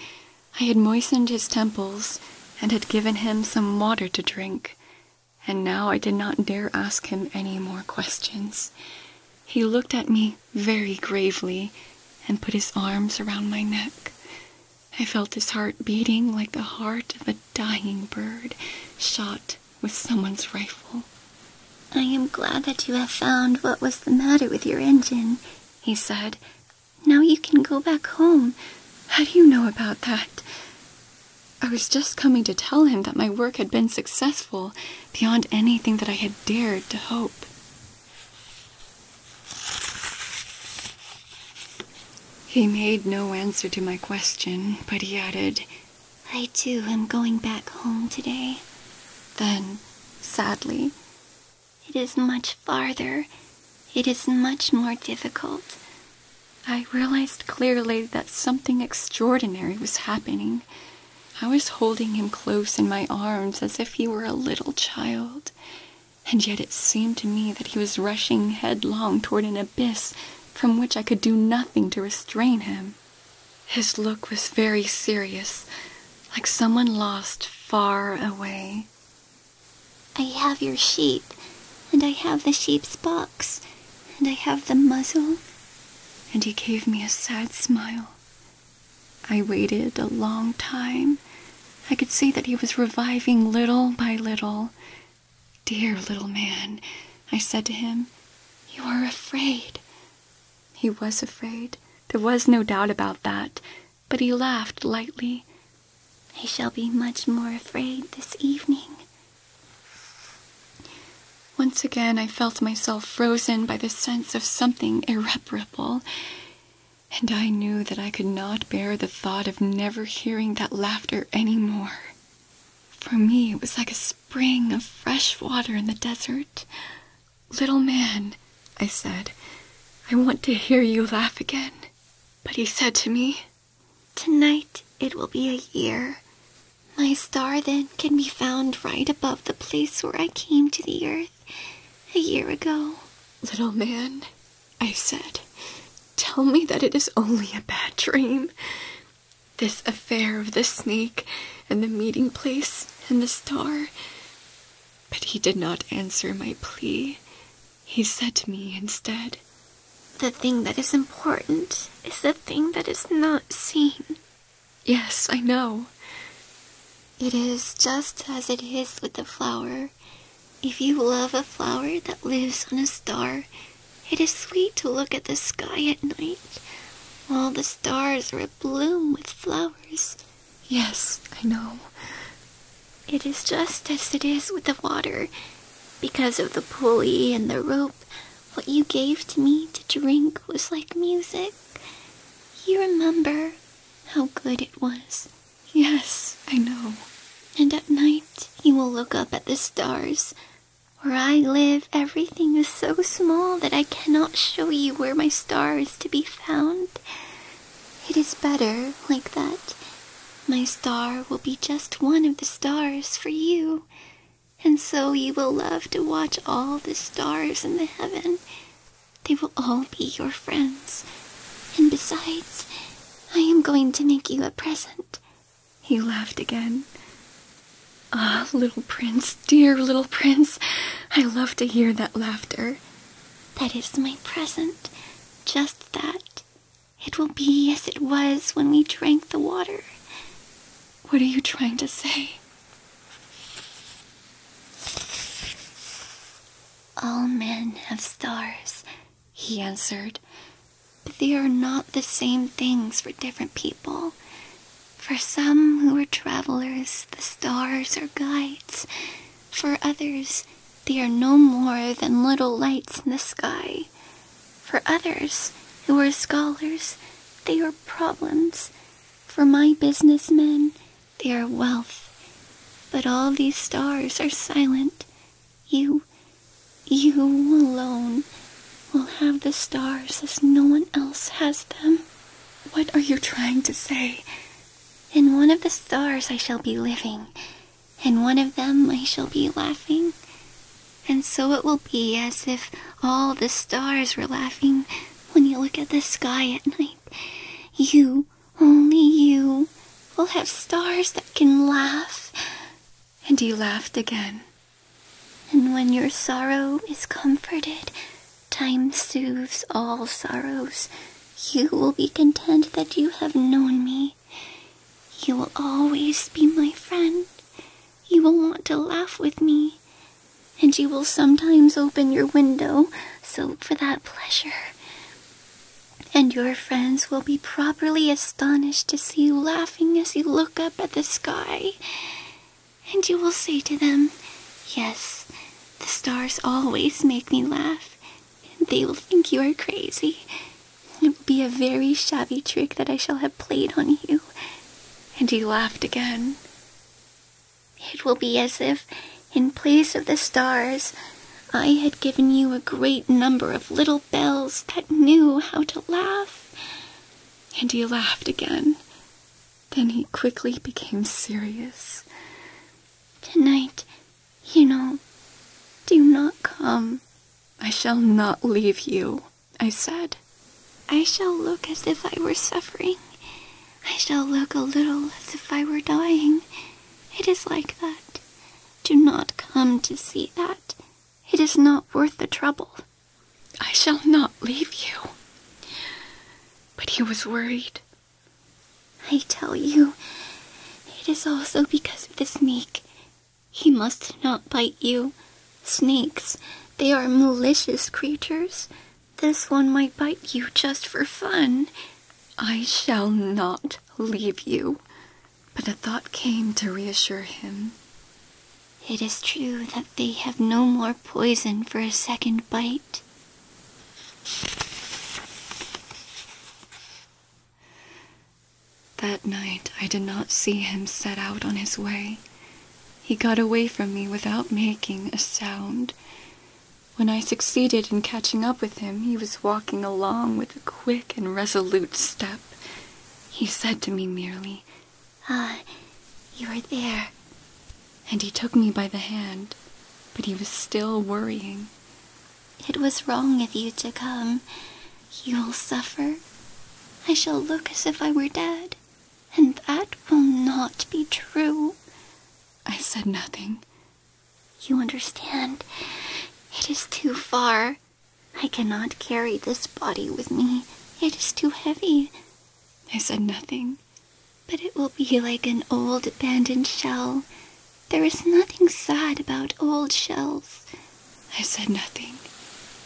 I had moistened his temples and had given him some water to drink, and now I did not dare ask him any more questions. He looked at me very gravely and put his arms around my neck. I felt his heart beating like the heart of a dying bird shot with someone's rifle. I am glad that you have found what was the matter with your engine he said. Now you can go back home. How do you know about that? I was just coming to tell him that my work had been successful beyond anything that I had dared to hope. He made no answer to my question, but he added, I too am going back home today. Then, sadly, it is much farther. It is much more difficult. I realized clearly that something extraordinary was happening. I was holding him close in my arms as if he were a little child, and yet it seemed to me that he was rushing headlong toward an abyss from which I could do nothing to restrain him. His look was very serious, like someone lost far away. I have your sheep, and I have the sheep's box, and I have the muzzle. And he gave me a sad smile. I waited a long time. I could see that he was reviving little by little. Dear little man, I said to him, you are afraid. He was afraid. There was no doubt about that but he laughed lightly. I shall be much more afraid this evening. Once again, I felt myself frozen by the sense of something irreparable, and I knew that I could not bear the thought of never hearing that laughter any more. For me, it was like a spring of fresh water in the desert, Little man, I said, I want to hear you laugh again. But he said to me, Tonight it will be a year. My star then can be found right above the place where I came to the earth a year ago. Little man, I said, tell me that it is only a bad dream. This affair of the snake and the meeting place and the star. But he did not answer my plea. He said to me instead, The thing that is important is the thing that is not seen. Yes, I know. It is just as it is with the flower. If you love a flower that lives on a star, it is sweet to look at the sky at night. while the stars are abloom with flowers. Yes, I know. It is just as it is with the water. Because of the pulley and the rope, what you gave to me to drink was like music. You remember how good it was. Yes, I know. And at night, you will look up at the stars. Where I live, everything is so small that I cannot show you where my star is to be found. It is better like that. My star will be just one of the stars for you, and so you will love to watch all the stars in the heaven. They will all be your friends. And besides, I am going to make you a present. He laughed again. Ah, little prince, dear little prince, I love to hear that laughter. That is my present, just that. It will be as it was when we drank the water. What are you trying to say? All men have stars, he answered, but they are not the same things for different people. For some who are travelers, the stars are guides. For others, they are no more than little lights in the sky. For others, who are scholars, they are problems. For my businessmen, they are wealth. But all these stars are silent. You, you alone, will have the stars as no one else has them. What are you trying to say? In one of the stars I shall be living, in one of them I shall be laughing, and so it will be as if all the stars were laughing when you look at the sky at night. You, only you, will have stars that can laugh. And he laughed again. And when your sorrow is comforted, Time soothes all sorrows. You will be content that you have known me. You will always be my friend. You will want to laugh with me. And you will sometimes open your window, so for that pleasure. And your friends will be properly astonished to see you laughing as you look up at the sky. And you will say to them, Yes, the stars always make me laugh, and they will think you are crazy. It will be a very shabby trick that I shall have played on you. And he laughed again. It will be as if, in place of the stars, I had given you a great number of little bells that knew how to laugh. And he laughed again. Then he quickly became serious. Tonight, you know, do not come. I shall not leave you, I said. I shall look as if I were suffering. I shall look a little as if I were dying. It is like that. Do not come to see that. It is not worth the trouble. I shall not leave you. But he was worried. I tell you, it is also because of the snake. He must not bite you. Snakes, they are malicious creatures. This one might bite you just for fun. I shall not leave you. But a thought came to reassure him. It is true that they have no more poison for a second bite. That night I did not see him set out on his way. He got away from me without making a sound. When I succeeded in catching up with him, he was walking along with a quick and resolute step. He said to me merely, Ah, you are there. And he took me by the hand, but he was still worrying. It was wrong of you to come. You will suffer. I shall look as if I were dead, and that will not be true. I said nothing. You understand. It is too far. I cannot carry this body with me. It is too heavy. I said nothing. But it will be like an old abandoned shell. There is nothing sad about old shells. I said nothing.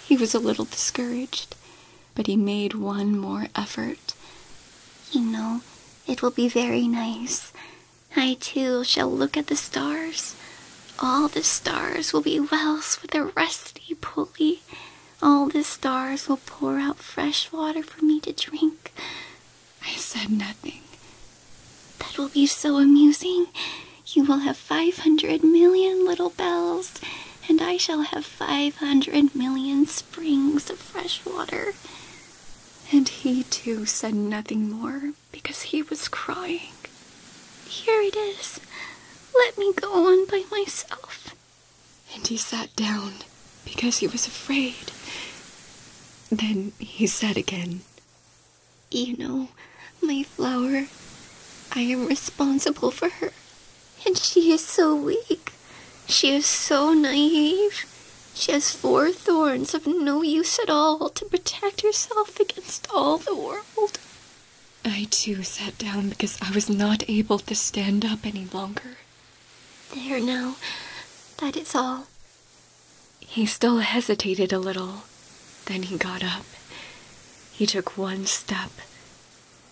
He was a little discouraged, but he made one more effort. You know, it will be very nice. I too shall look at the stars. All the stars will be wells with a rusty pulley. All the stars will pour out fresh water for me to drink. I said nothing. That will be so amusing. You will have 500 million little bells, and I shall have 500 million springs of fresh water. And he too said nothing more because he was crying. Here it is. Let me go on by myself. And he sat down because he was afraid. Then he said again, You know, my flower, I am responsible for her, and she is so weak. She is so naive. She has four thorns of no use at all to protect herself against all the world. I too sat down because I was not able to stand up any longer. There now, that is all. He still hesitated a little. Then he got up. He took one step.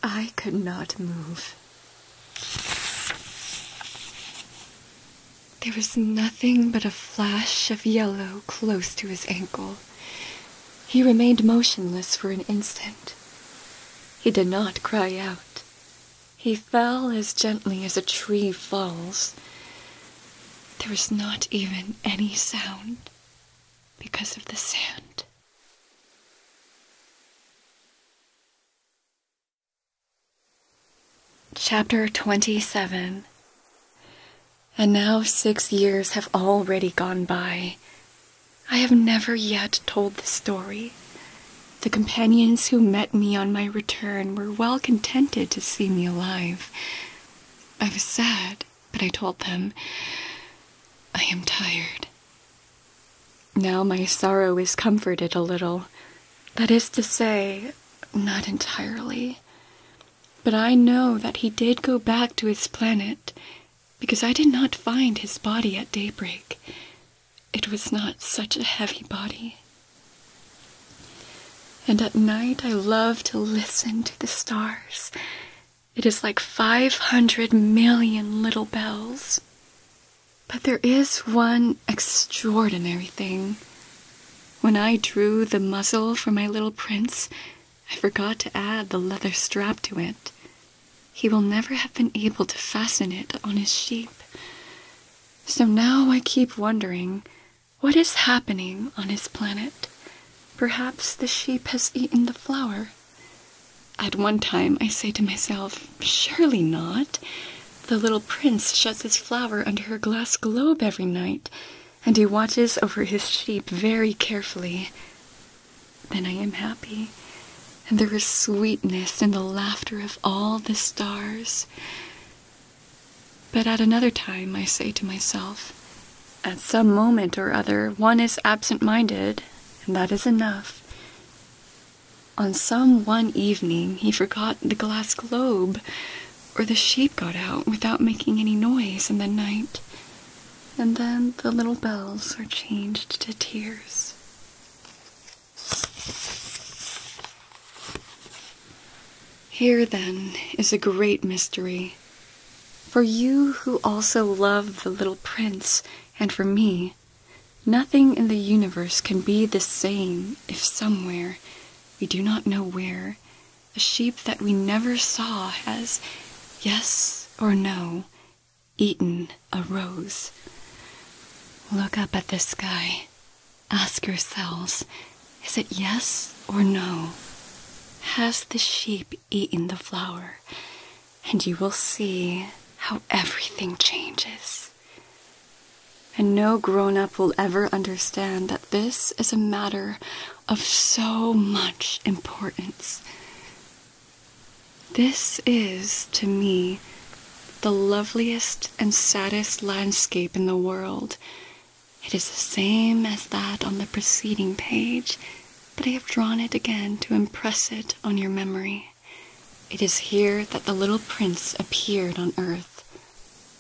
I could not move. There was nothing but a flash of yellow close to his ankle. He remained motionless for an instant. He did not cry out. He fell as gently as a tree falls. There was not even any sound because of the sand. Chapter 27 And now six years have already gone by. I have never yet told the story. The companions who met me on my return were well contented to see me alive. I was sad, but I told them, I am tired. Now my sorrow is comforted a little. That is to say, not entirely. But I know that he did go back to his planet, because I did not find his body at daybreak it was not such a heavy body. And at night, I love to listen to the stars. It is like 500 million little bells. But there is one extraordinary thing. When I drew the muzzle for my little prince, I forgot to add the leather strap to it. He will never have been able to fasten it on his sheep. So now I keep wondering what is happening on his planet. Perhaps the sheep has eaten the flower. At one time, I say to myself, surely not. The little prince shuts his flower under her glass globe every night, and he watches over his sheep very carefully. Then I am happy, and there is sweetness in the laughter of all the stars. But at another time, I say to myself, at some moment or other, one is absent minded, and that is enough. On some one evening, he forgot the glass globe, or the sheep got out without making any noise in the night, and then the little bells are changed to tears. Here, then, is a great mystery. For you who also love the little prince, and for me, nothing in the universe can be the same if somewhere, we do not know where, a sheep that we never saw has, yes or no, eaten a rose. Look up at the sky ask yourselves is it yes or no? Has the sheep eaten the flower? And you will see how everything changes. And no grown up will ever understand that this is a matter of so much importance. This is, to me, the loveliest and saddest landscape in the world. It is the same as that on the preceding page, but I have drawn it again to impress it on your memory. It is here that the little prince appeared on earth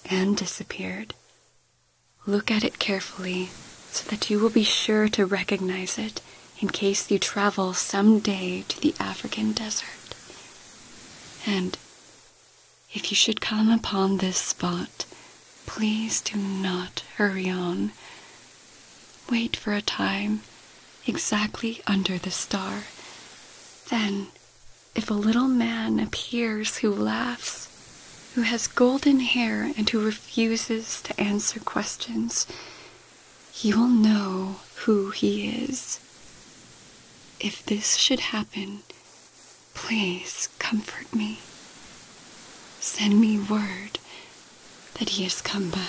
and disappeared. Look at it carefully so that you will be sure to recognize it in case you travel some day to the African desert. And if you should come upon this spot, please do not hurry on. Wait for a time, exactly under the star. Then, if a little man appears who laughs, who has golden hair and who refuses to answer questions, you will know who he is. If this should happen, Please comfort me. Send me word that he has come back.